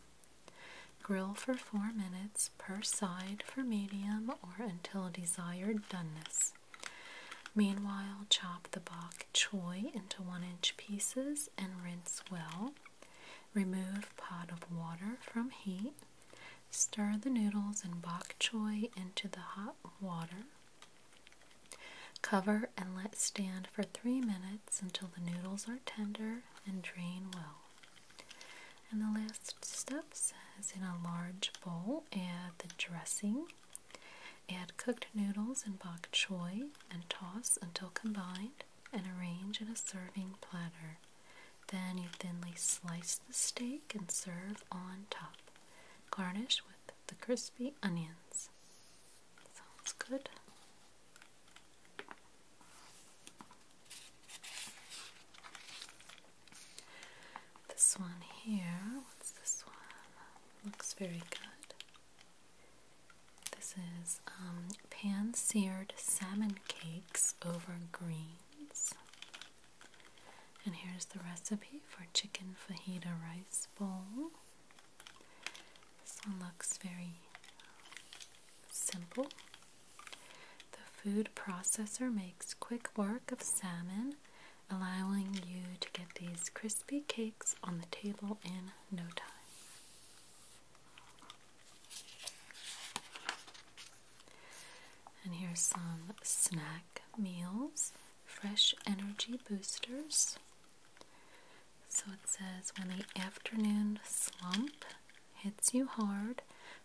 Grill for four minutes per side for medium or until desired doneness. Meanwhile, chop the bok choy into one inch pieces and rinse well. Remove pot of water from heat. Stir the noodles and bok choy into the hot water. Cover and let stand for three minutes until the noodles are tender and drain well. And the last step says in a large bowl, add the dressing, add cooked noodles and bok choy, and toss until combined and arrange in a serving platter. Then you thinly slice the steak and serve on top. Garnish with the crispy onions. Sounds good. This one here, what's this one? Looks very good. This is um, pan seared salmon cakes over greens. And here's the recipe for chicken fajita rice bowl. This one looks very simple. The food processor makes quick work of salmon, allowing you to get these crispy cakes on the table in no time. And here's some snack meals, fresh energy boosters, so it says when the afternoon slump hits you hard,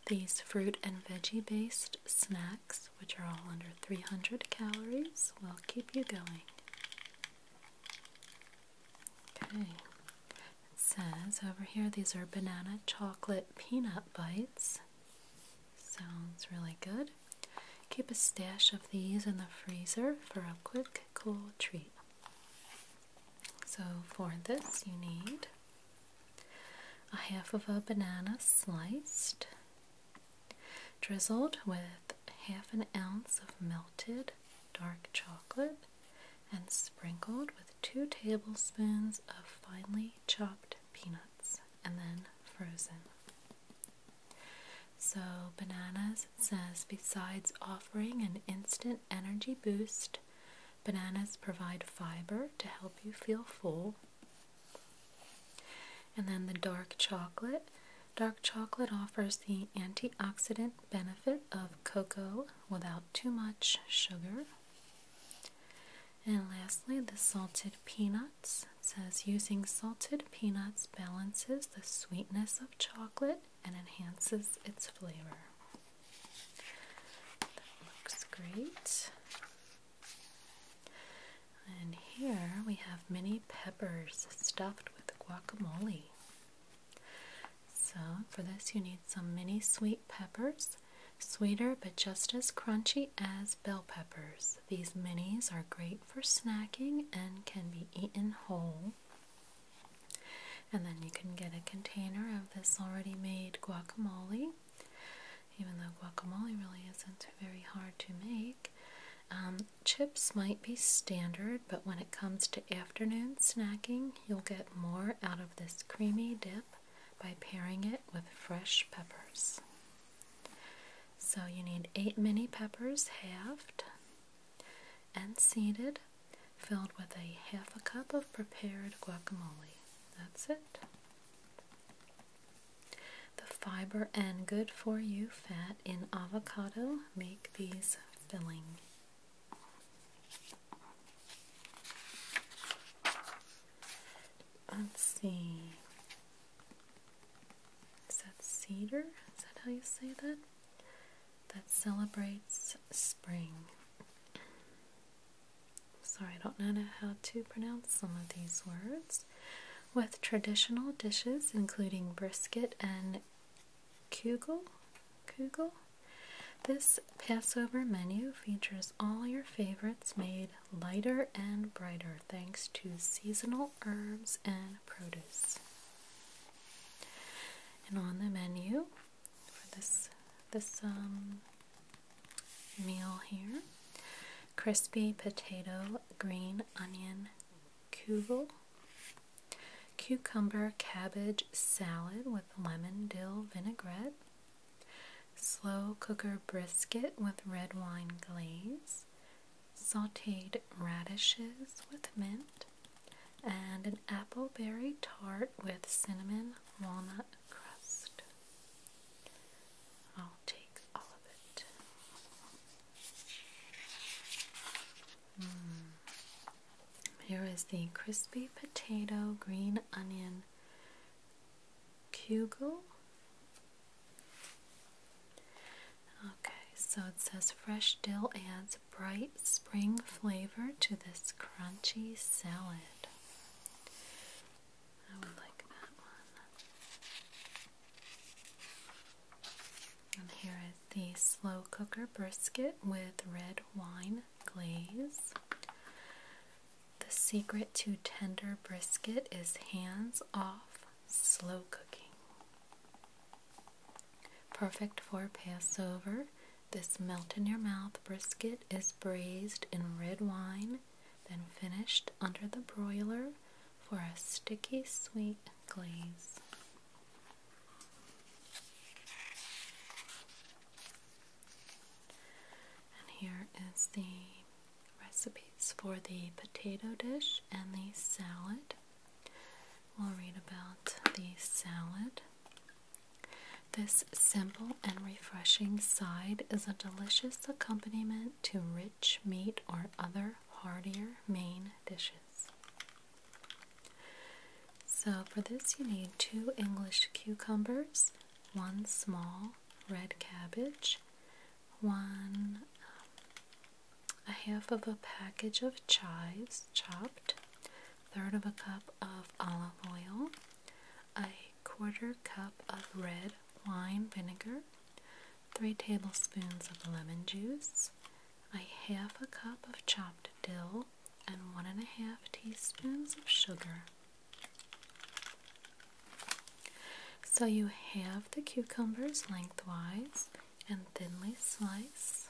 these fruit and veggie based snacks, which are all under 300 calories, will keep you going. Okay. It says over here these are banana chocolate peanut bites. Sounds really good. Keep a stash of these in the freezer for a quick cool treat. So for this you need a half of a banana sliced, drizzled with half an ounce of melted dark chocolate and sprinkled with two tablespoons of finely chopped peanuts and then frozen. So, bananas says, besides offering an instant energy boost, bananas provide fiber to help you feel full. And then the dark chocolate. Dark chocolate offers the antioxidant benefit of cocoa without too much sugar. And lastly, the salted peanuts. says using salted peanuts balances the sweetness of chocolate and enhances its flavor. That looks great. And here we have mini peppers stuffed with guacamole. So, for this, you need some mini sweet peppers, sweeter but just as crunchy as bell peppers. These minis are great for snacking and can be eaten whole. And then you can get a container of this already made guacamole. Even though guacamole really isn't very hard to make, um, chips might be standard, but when it comes to afternoon snacking, you'll get more out of this creamy dip by pairing it with fresh peppers. So you need eight mini peppers halved and seeded, filled with a half a cup of prepared guacamole. That's it. The fiber and good for you fat in avocado make these filling. Let's see. Is that cedar? Is that how you say that? that celebrates spring. Sorry, I don't know how to pronounce some of these words. With traditional dishes including brisket and kugel, kugel, this Passover menu features all your favorites made lighter and brighter thanks to seasonal herbs and produce. And on the menu for this this um, meal here, crispy potato, green onion, kugel, cucumber cabbage salad with lemon dill vinaigrette, slow cooker brisket with red wine glaze, sauteed radishes with mint, and an apple berry tart with cinnamon walnut crust. I'll take all of it. Hmm. Here is the crispy potato green onion kugel. Okay, so it says fresh dill adds bright spring flavor to this crunchy salad. I would like that one. And here is the slow cooker brisket with red wine glaze. The secret to tender brisket is hands off slow cooking. Perfect for Passover. This melt in your mouth brisket is braised in red wine, then finished under the broiler for a sticky sweet glaze. And here is the recipes for the potato dish and the salad. We'll read about the salad. This simple and refreshing side is a delicious accompaniment to rich meat or other heartier main dishes. So, for this, you need two English cucumbers, one small red cabbage, one um, a half of a package of chives chopped, third of a cup of olive oil, a quarter cup of red wine vinegar, three tablespoons of lemon juice, a half a cup of chopped dill, and one and a half teaspoons of sugar. So you have the cucumbers lengthwise and thinly slice.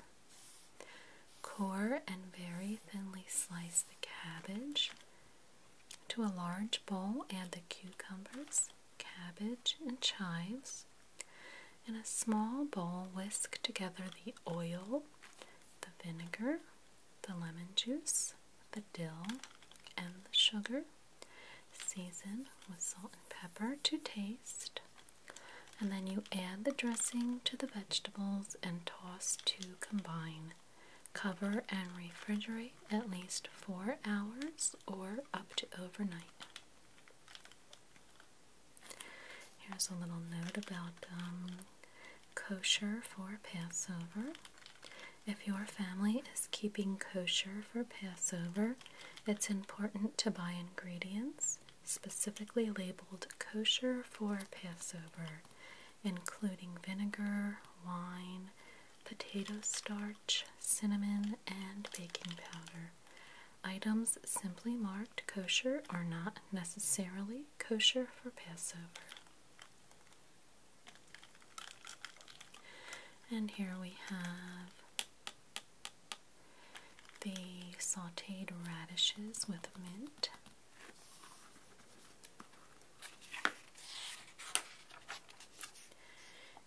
Core and very thinly slice the cabbage to a large bowl, add the cucumbers, cabbage, and chives. In a small bowl, whisk together the oil, the vinegar, the lemon juice, the dill, and the sugar. Season with salt and pepper to taste. And then you add the dressing to the vegetables and toss to combine. Cover and refrigerate at least 4 hours or up to overnight. Here's a little note about um, kosher for Passover. If your family is keeping kosher for Passover, it's important to buy ingredients specifically labeled kosher for Passover, including vinegar, wine, potato starch, cinnamon, and baking powder. Items simply marked kosher are not necessarily kosher for Passover. And here we have the sauteed radishes with mint.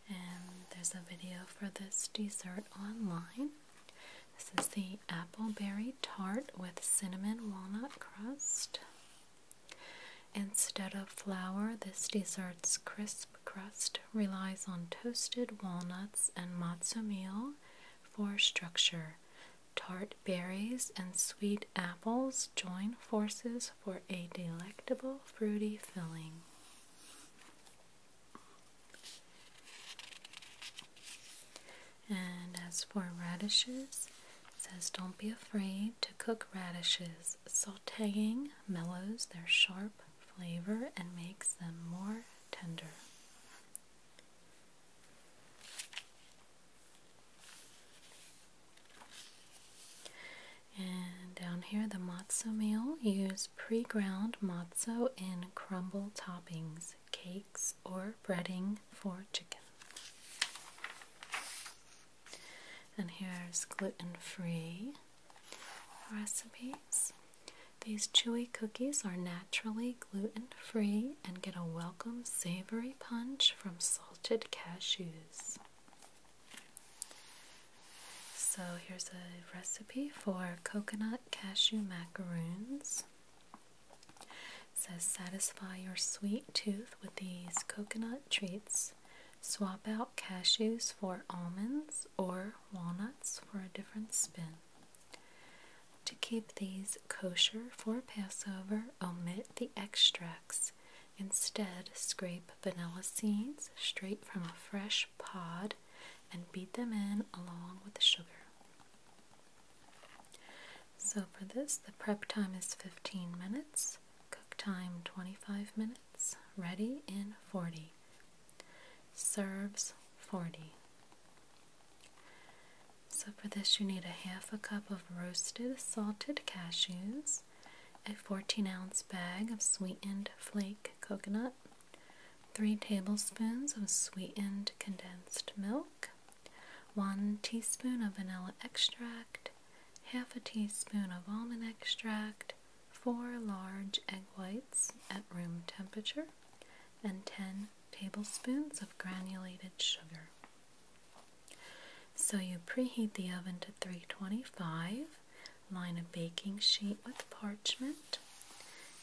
And there's a video for this dessert online. This is the appleberry tart with cinnamon walnut crust. Instead of flour, this dessert's crisp crust relies on toasted walnuts and matzo meal for structure. Tart berries and sweet apples join forces for a delectable fruity filling. And as for radishes, says don't be afraid to cook radishes, sauteing mellows their sharp flavor and makes them more tender. And down here, the matzo meal. Use pre ground matzo in crumble toppings, cakes, or breading for chicken. And here's gluten free recipes. These chewy cookies are naturally gluten free and get a welcome savory punch from salted cashews. So, here's a recipe for coconut cashew macaroons. says satisfy your sweet tooth with these coconut treats. Swap out cashews for almonds or walnuts for a different spin. To keep these kosher for Passover, omit the extracts. Instead, scrape vanilla seeds straight from a fresh pod and beat them in along with the sugar. So, for this, the prep time is 15 minutes, cook time 25 minutes, ready in 40. Serves 40. So for this you need a half a cup of roasted salted cashews, a 14 ounce bag of sweetened flake coconut, 3 tablespoons of sweetened condensed milk, 1 teaspoon of vanilla extract, half a teaspoon of almond extract, 4 large egg whites at room temperature, and 10 tablespoons of granulated sugar. So you preheat the oven to 325, line a baking sheet with parchment,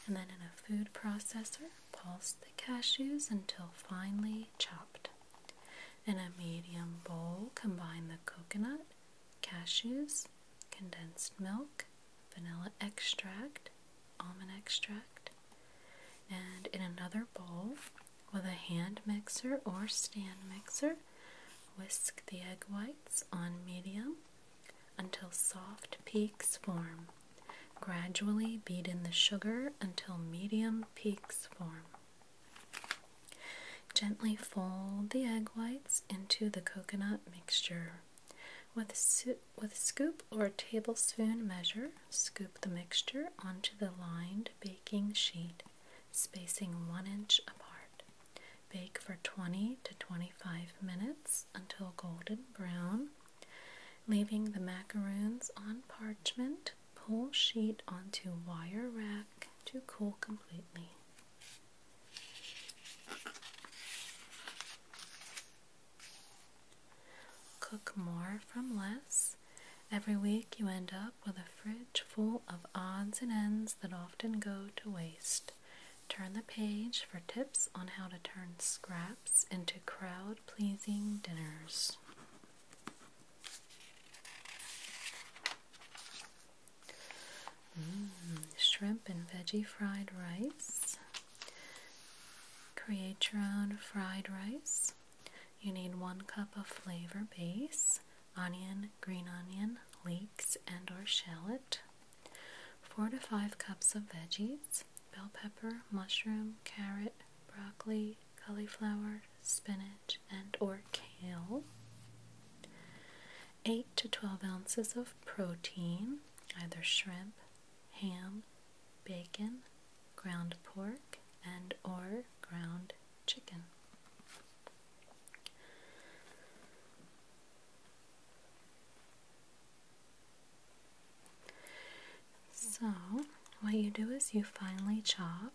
and then in a food processor, pulse the cashews until finely chopped. In a medium bowl, combine the coconut, cashews, condensed milk, vanilla extract, almond extract. And in another bowl with a hand mixer or stand mixer, whisk the egg whites on medium until soft peaks form. Gradually beat in the sugar until medium peaks form. Gently fold the egg whites into the coconut mixture. With with scoop or tablespoon measure, scoop the mixture onto the lined baking sheet, spacing 1 inch apart. Bake for 20 to 25 minutes until golden brown, leaving the macaroons on parchment. Pull sheet onto wire rack to cool completely. Cook more from less. Every week you end up with a fridge full of odds and ends that often go to waste. Turn the page for tips on how to turn scraps into crowd pleasing dinners. Mmm, shrimp and veggie fried rice. Create your own fried rice. You need one cup of flavor base, onion, green onion, leeks, and or shallot. Four to five cups of veggies, bell pepper, mushroom, carrot, broccoli, cauliflower, spinach, and or kale. 8 to 12 ounces of protein, either shrimp, ham, bacon, ground pork, and or ground chicken. So, what you do is you finely chop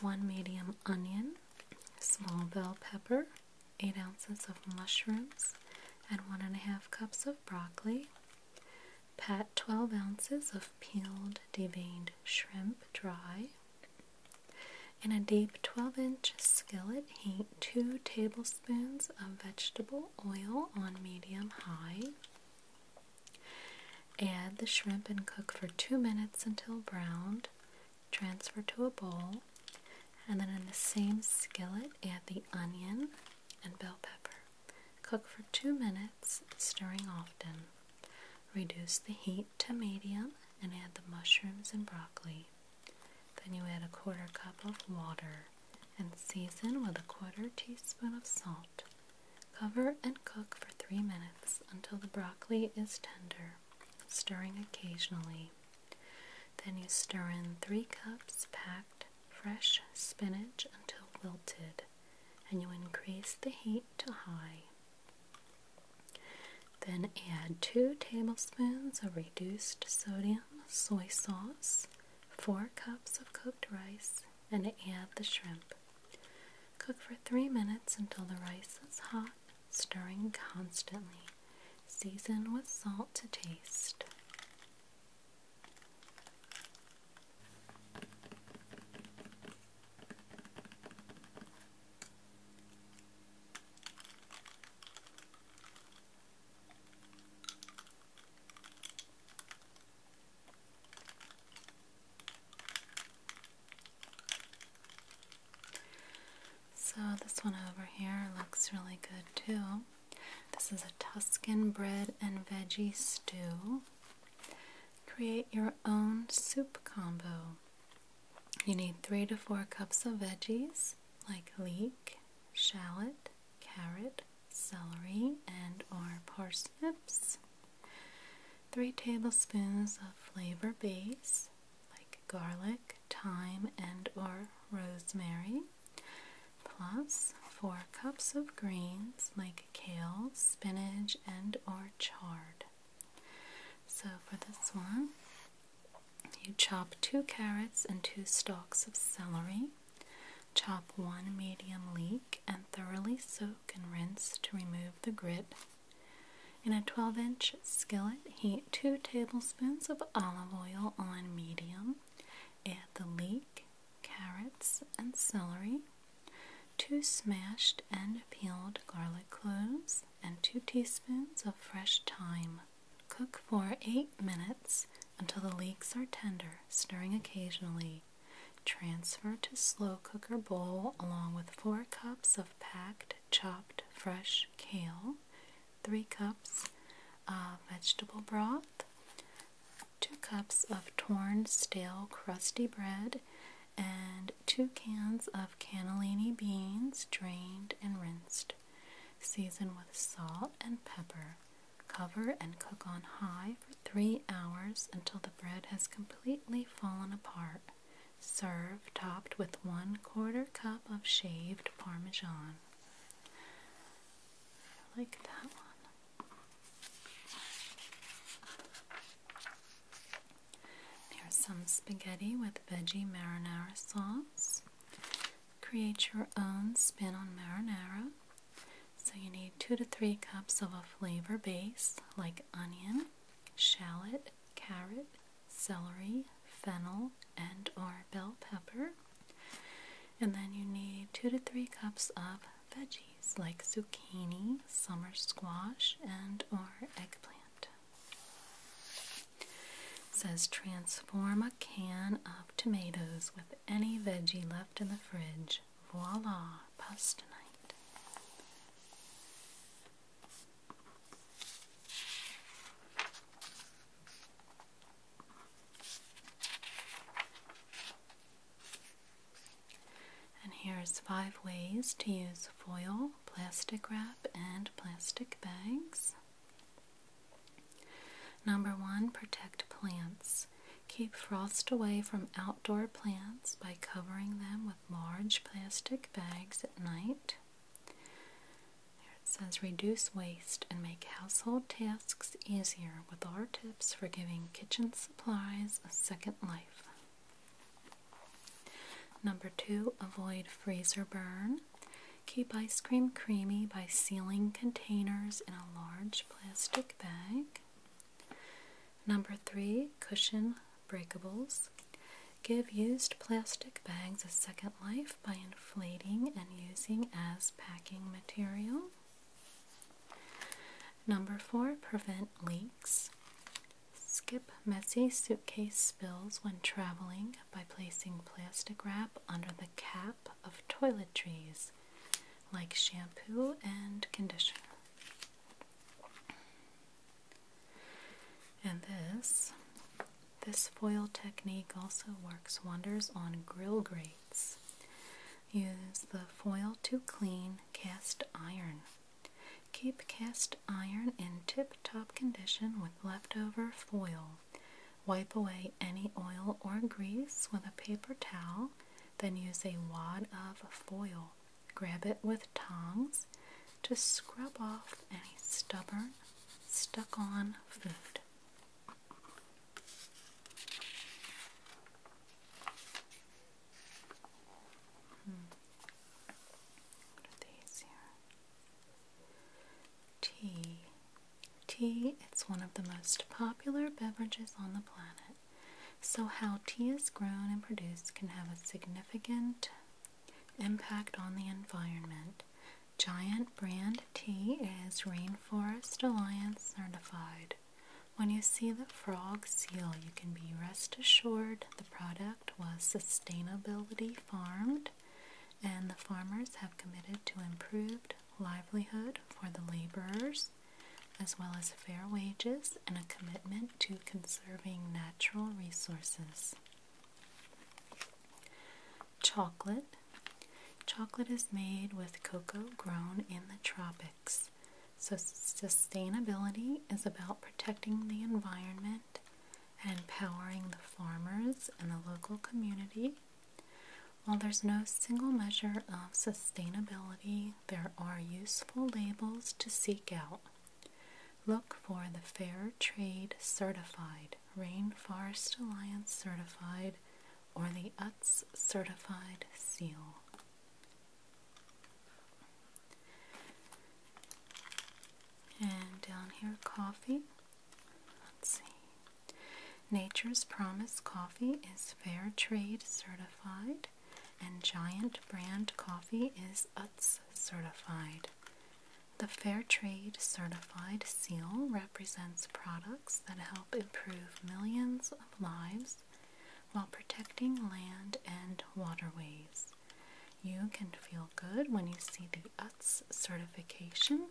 one medium onion, small bell pepper, 8 ounces of mushrooms, and one and a half cups of broccoli, Pat 12 ounces of peeled deveined shrimp dry. In a deep 12 inch skillet, heat 2 tablespoons of vegetable oil on medium high. Add the shrimp and cook for 2 minutes until browned. Transfer to a bowl. And then in the same skillet, add the onion and bell pepper. Cook for two minutes, stirring often. Reduce the heat to medium and add the mushrooms and broccoli. Then you add a quarter cup of water and season with a quarter teaspoon of salt. Cover and cook for three minutes until the broccoli is tender, stirring occasionally. Then you stir in three cups packed fresh spinach until wilted and you increase the heat to high. Then add 2 tablespoons of reduced sodium soy sauce, 4 cups of cooked rice, and add the shrimp. Cook for 3 minutes until the rice is hot, stirring constantly. Season with salt to taste. So, this one over here looks really good too. This is a Tuscan bread and veggie stew. Create your own soup combo. You need three to four cups of veggies like leek, shallot, carrot, celery, and or parsnips. Three tablespoons of flavor base like garlic, thyme, and or rosemary plus 4 cups of greens like kale, spinach, and or chard. So for this one, you chop 2 carrots and 2 stalks of celery. Chop one medium leek and thoroughly soak and rinse to remove the grit. In a 12 inch skillet, heat 2 tablespoons of olive oil on medium. Add the leek, carrots and celery, 2 smashed and peeled garlic cloves, and 2 teaspoons of fresh thyme. Cook for 8 minutes until the leeks are tender, stirring occasionally. Transfer to slow cooker bowl along with 4 cups of packed chopped fresh kale, 3 cups of vegetable broth, two cups of torn, stale, crusty bread, and two cans of cannellini beans drained and rinsed. Season with salt and pepper. Cover and cook on high for three hours until the bread has completely fallen apart. Serve topped with one quarter cup of shaved parmesan. I like that one. Here's some spaghetti with veggie marinara sauce. Create your own spin on marinara. So, you need two to three cups of a flavor base like onion, shallot, carrot, celery, fennel, and or bell pepper. And then you need two to three cups of veggies like zucchini, summer squash, and or eggplant. says transform a can of tomatoes with any veggie left in the fridge. Voila, pasta night. And here's five ways to use foil, plastic wrap, and plastic bags. Number one, protect plants. Keep frost away from outdoor plants by covering them with large plastic bags at night. it says reduce waste and make household tasks easier with our tips for giving kitchen supplies a second life. Number two, avoid freezer burn. Keep ice cream creamy by sealing containers in a large plastic bag. Number three, cushion breakables. Give used plastic bags a second life by inflating and using as packing material. Number four, prevent leaks. Skip messy suitcase spills when traveling by placing plastic wrap under the cap of toiletries like shampoo and conditioner. And this, this foil technique also works wonders on grill grates. Use the foil to clean cast iron. Keep cast iron in tip top condition with leftover foil. Wipe away any oil or grease with a paper towel, then use a wad of foil. Grab it with tongs to scrub off any stubborn, stuck on food. Tea. Tea, it's one of the most popular beverages on the planet. So, how tea is grown and produced can have a significant impact on the environment. Giant brand tea is Rainforest Alliance certified. When you see the frog seal, you can be rest assured the product was sustainability farmed and the farmers have committed to improved livelihood for the laborers as well as fair wages and a commitment to conserving natural resources. Chocolate. Chocolate is made with cocoa grown in the tropics. So, sustainability is about protecting the environment and empowering the farmers and the local community. While there's no single measure of sustainability, there are useful labels to seek out. Look for the Fair Trade Certified, Rainforest Alliance Certified, or the UTZ Certified seal. And down here, coffee. Let's see. Nature's Promise coffee is fair trade certified, and Giant Brand coffee is UTZ certified. The Fair Trade Certified seal represents products that help improve millions of lives while protecting land and waterways. You can feel good when you see the UTS certification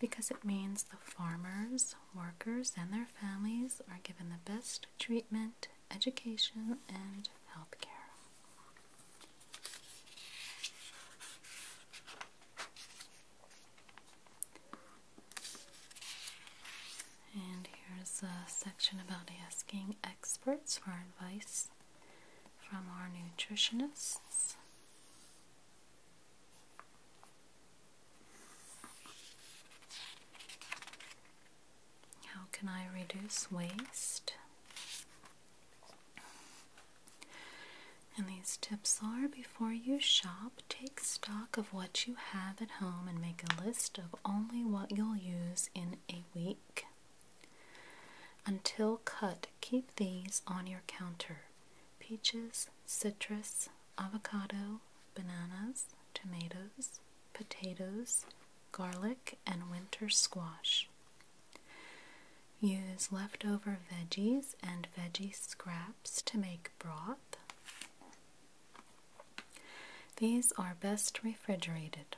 because it means the farmers, workers, and their families are given the best treatment, education, and health care. And here's a section about asking experts for advice from our nutritionists. How can I reduce waste? And these tips are before you shop, take stock of what you have at home and make a list of only what you'll use in a week. Until cut, keep these on your counter peaches, citrus, avocado, bananas, tomatoes, potatoes, garlic, and winter squash. Use leftover veggies and veggie scraps to make broth. These are best refrigerated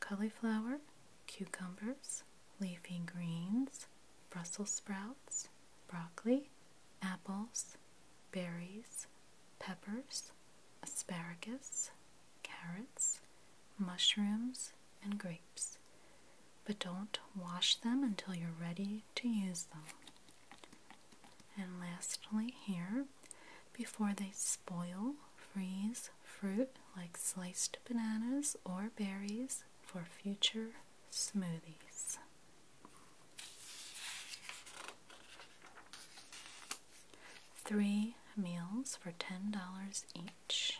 cauliflower, cucumbers, leafy greens, Brussels sprouts, broccoli, apples, berries, peppers, asparagus, carrots, mushrooms, and grapes. But don't wash them until you're ready to use them. And lastly, here, before they spoil, freeze fruit like sliced bananas or berries for future smoothies. Three meals for $10 each.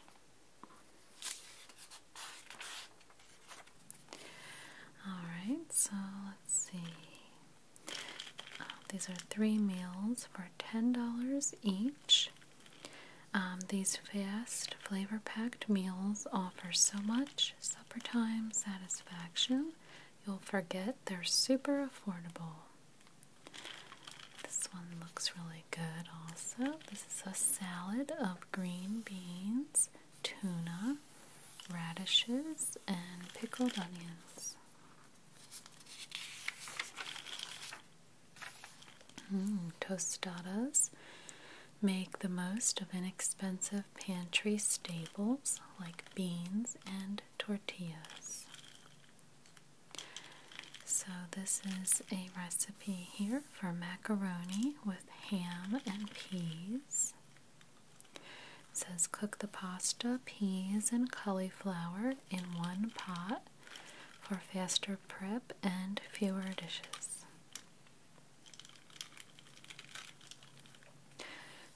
Alright, so let's see. Uh, these are three meals for $10 each. Um, these fast, flavor packed meals offer so much supper time satisfaction, you'll forget they're super affordable. This one looks really good, also. This is a salad of green beans, tuna, radishes, and pickled onions. Mm, tostadas make the most of inexpensive pantry staples like beans and tortillas. So, this is a recipe here for macaroni with ham and peas says cook the pasta, peas, and cauliflower in one pot for faster prep and fewer dishes.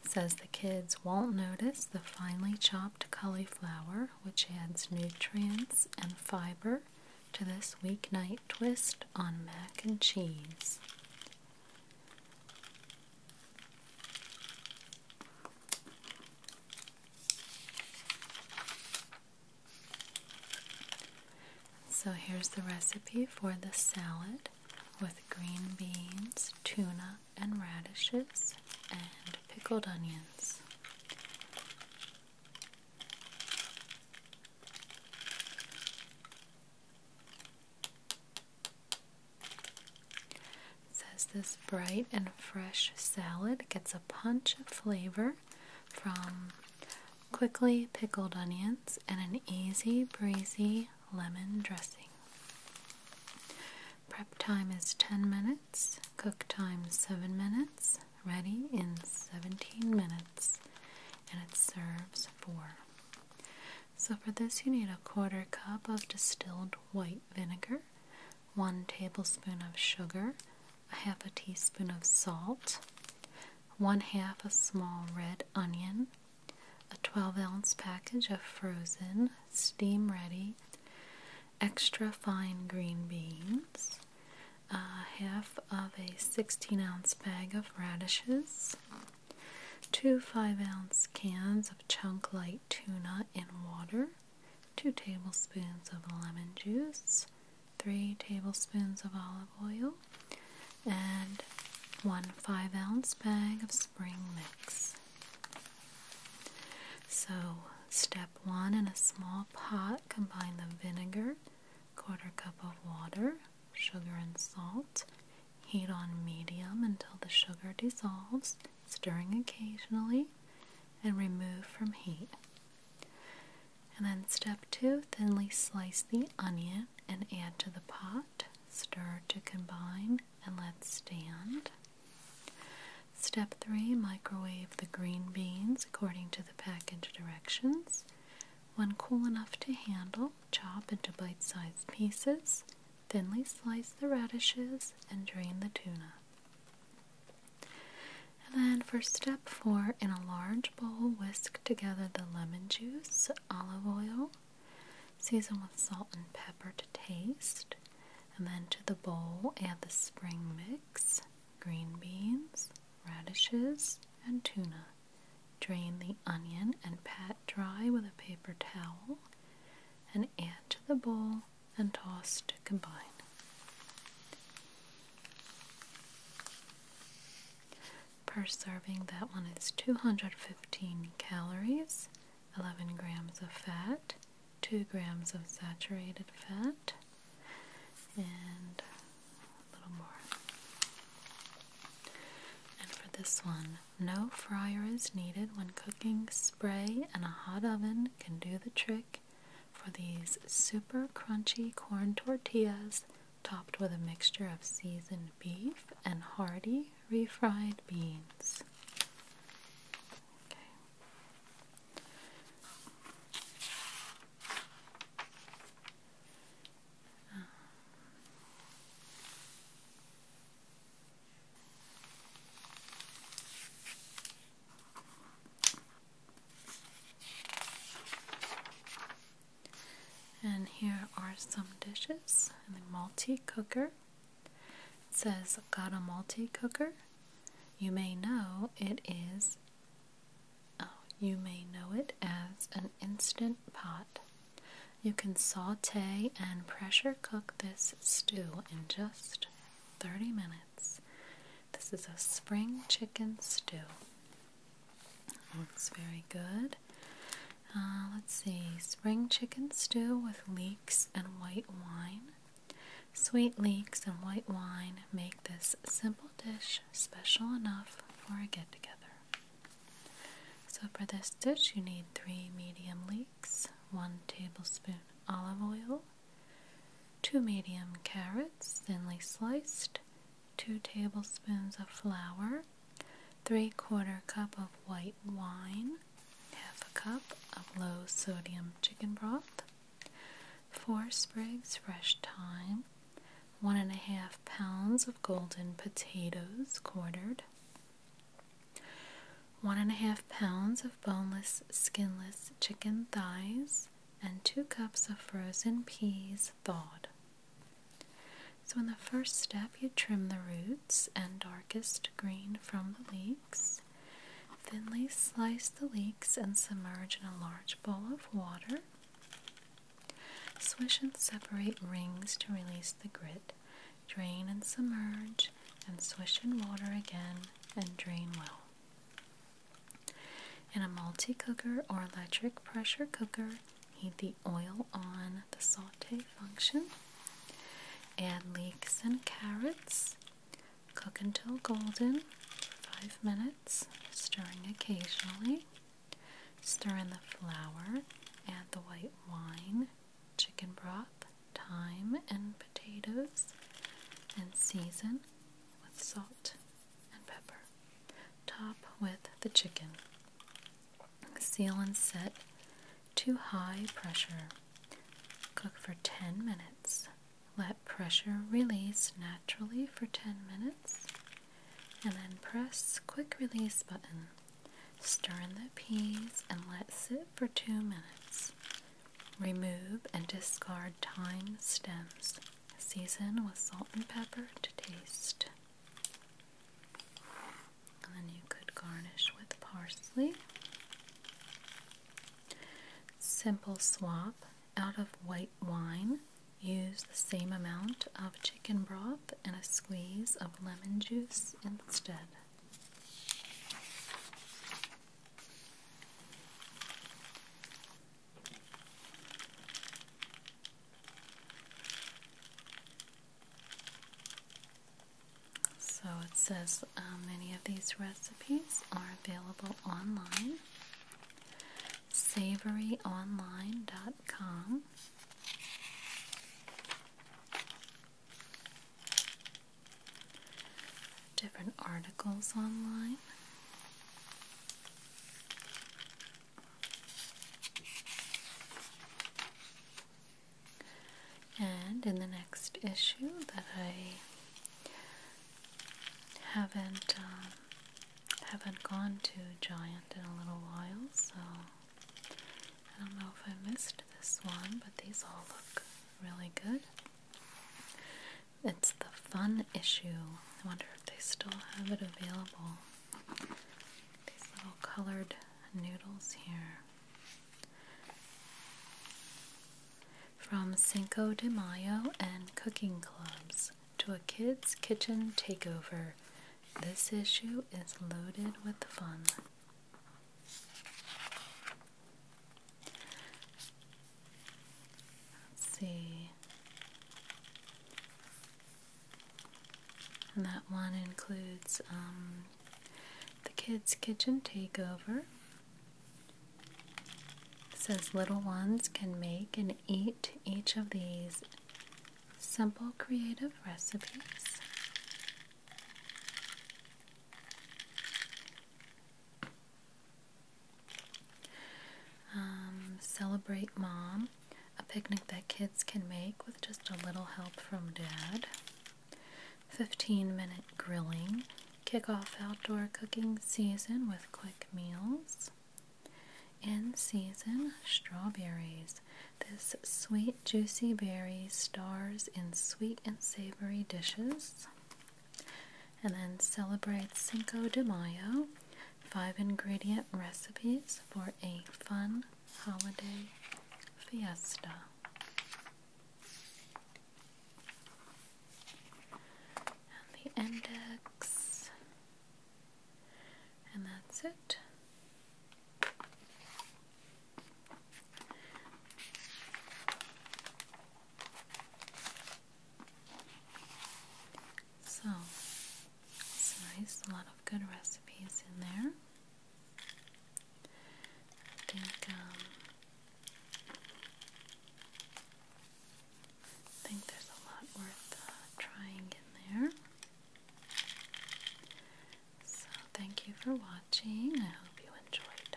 says the kids won't notice the finely chopped cauliflower, which adds nutrients and fiber to this weeknight twist on mac and cheese. So here's the recipe for the salad with green beans, tuna, and radishes, and pickled onions. It says this bright and fresh salad gets a punch of flavor from quickly pickled onions and an easy breezy lemon dressing. Prep time is 10 minutes, cook time 7 minutes, ready in 17 minutes, and it serves 4. So for this you need a quarter cup of distilled white vinegar, 1 tablespoon of sugar, a half a teaspoon of salt, 1 half a small red onion, a 12 ounce package of frozen, steam ready, extra fine green beans, a half of a 16 ounce bag of radishes, two 5 ounce cans of chunk light tuna in water, 2 tablespoons of lemon juice, 3 tablespoons of olive oil, and 1 5 ounce bag of spring mix. So, step 1 in a small pot, combine the vinegar, quarter cup of water, sugar, and salt Heat on medium until the sugar dissolves, stirring occasionally, and remove from heat. And then step two, thinly slice the onion and add to the pot. Stir to combine and let stand. Step three, microwave the green beans according to the package directions. When cool enough to handle, chop into bite sized pieces. Thinly slice the radishes and drain the tuna. And then for step four, in a large bowl, whisk together the lemon juice, olive oil, season with salt and pepper to taste, and then to the bowl add the spring mix, green beans, radishes, and tuna. Drain the onion and pat dry with a paper towel and add to the bowl and toss to combine. Per serving, that one is 215 calories, 11 grams of fat, 2 grams of saturated fat, and a little more. And for this one, no fryer is needed when cooking. Spray and a hot oven can do the trick for these super crunchy corn tortillas topped with a mixture of seasoned beef and hearty refried beans. And here are some dishes in the multi cooker. It says, Got a multi cooker? You may know it is, oh, you may know it as an instant pot. You can saute and pressure cook this stew in just 30 minutes. This is a spring chicken stew. Looks very good. Uh, let's see, spring chicken stew with leeks and white wine. Sweet leeks and white wine make this simple dish special enough for a get together. So, for this dish, you need three medium leeks 1 tablespoon olive oil, 2 medium carrots thinly sliced, 2 tablespoons of flour, 3 quarter cup of white wine, half a cup of low sodium chicken broth, 4 sprigs fresh thyme, 1 1/2 pounds of golden potatoes quartered, one and a half pounds of boneless, skinless chicken thighs, and two cups of frozen peas thawed. So, in the first step, you trim the roots and darkest green from the leeks. Thinly slice the leeks and submerge in a large bowl of water. Swish and separate rings to release the grit drain and submerge, and swish in water again and drain well. In a multi cooker or electric pressure cooker, heat the oil on the saute function. Add leeks and carrots. Cook until golden 5 minutes, stirring occasionally. Stir in the flour, add the white wine, chicken broth, thyme, and potatoes, and season with salt and pepper. Top with the chicken. Seal and set to high pressure. Cook for 10 minutes. Let pressure release naturally for 10 minutes and then press quick release button. Stir in the peas and let sit for 2 minutes. Remove and discard thyme stems. Season with salt and pepper to taste. then you could garnish with parsley. Simple swap out of white wine. Use the same amount of chicken broth and a squeeze of lemon juice instead. So it says um, many of these recipes are available online. Savoryonline.com different articles online. And in the next issue that I haven't um, haven't gone to Giant in a little while, so I don't know if I missed this one, but these all look really good. It's the fun issue. I wonder if they still have it available. These little colored noodles here. From Cinco de Mayo and cooking clubs to a kids' kitchen takeover, this issue is loaded with fun. Let's see. And that one includes um, the kids' kitchen takeover. says little ones can make and eat each of these simple creative recipes. Um, celebrate mom, a picnic that kids can make with just a little help from dad. 15 minute grilling, kick off outdoor cooking season with quick meals. In season, strawberries. This sweet, juicy berry stars in sweet and savory dishes. And then celebrate Cinco de Mayo. Five ingredient recipes for a fun holiday fiesta. the index. And that's it. So it's nice, a lot of good recipes in there. Um, I think there's a lot worth uh, trying in there. So thank you for watching. I hope you enjoyed.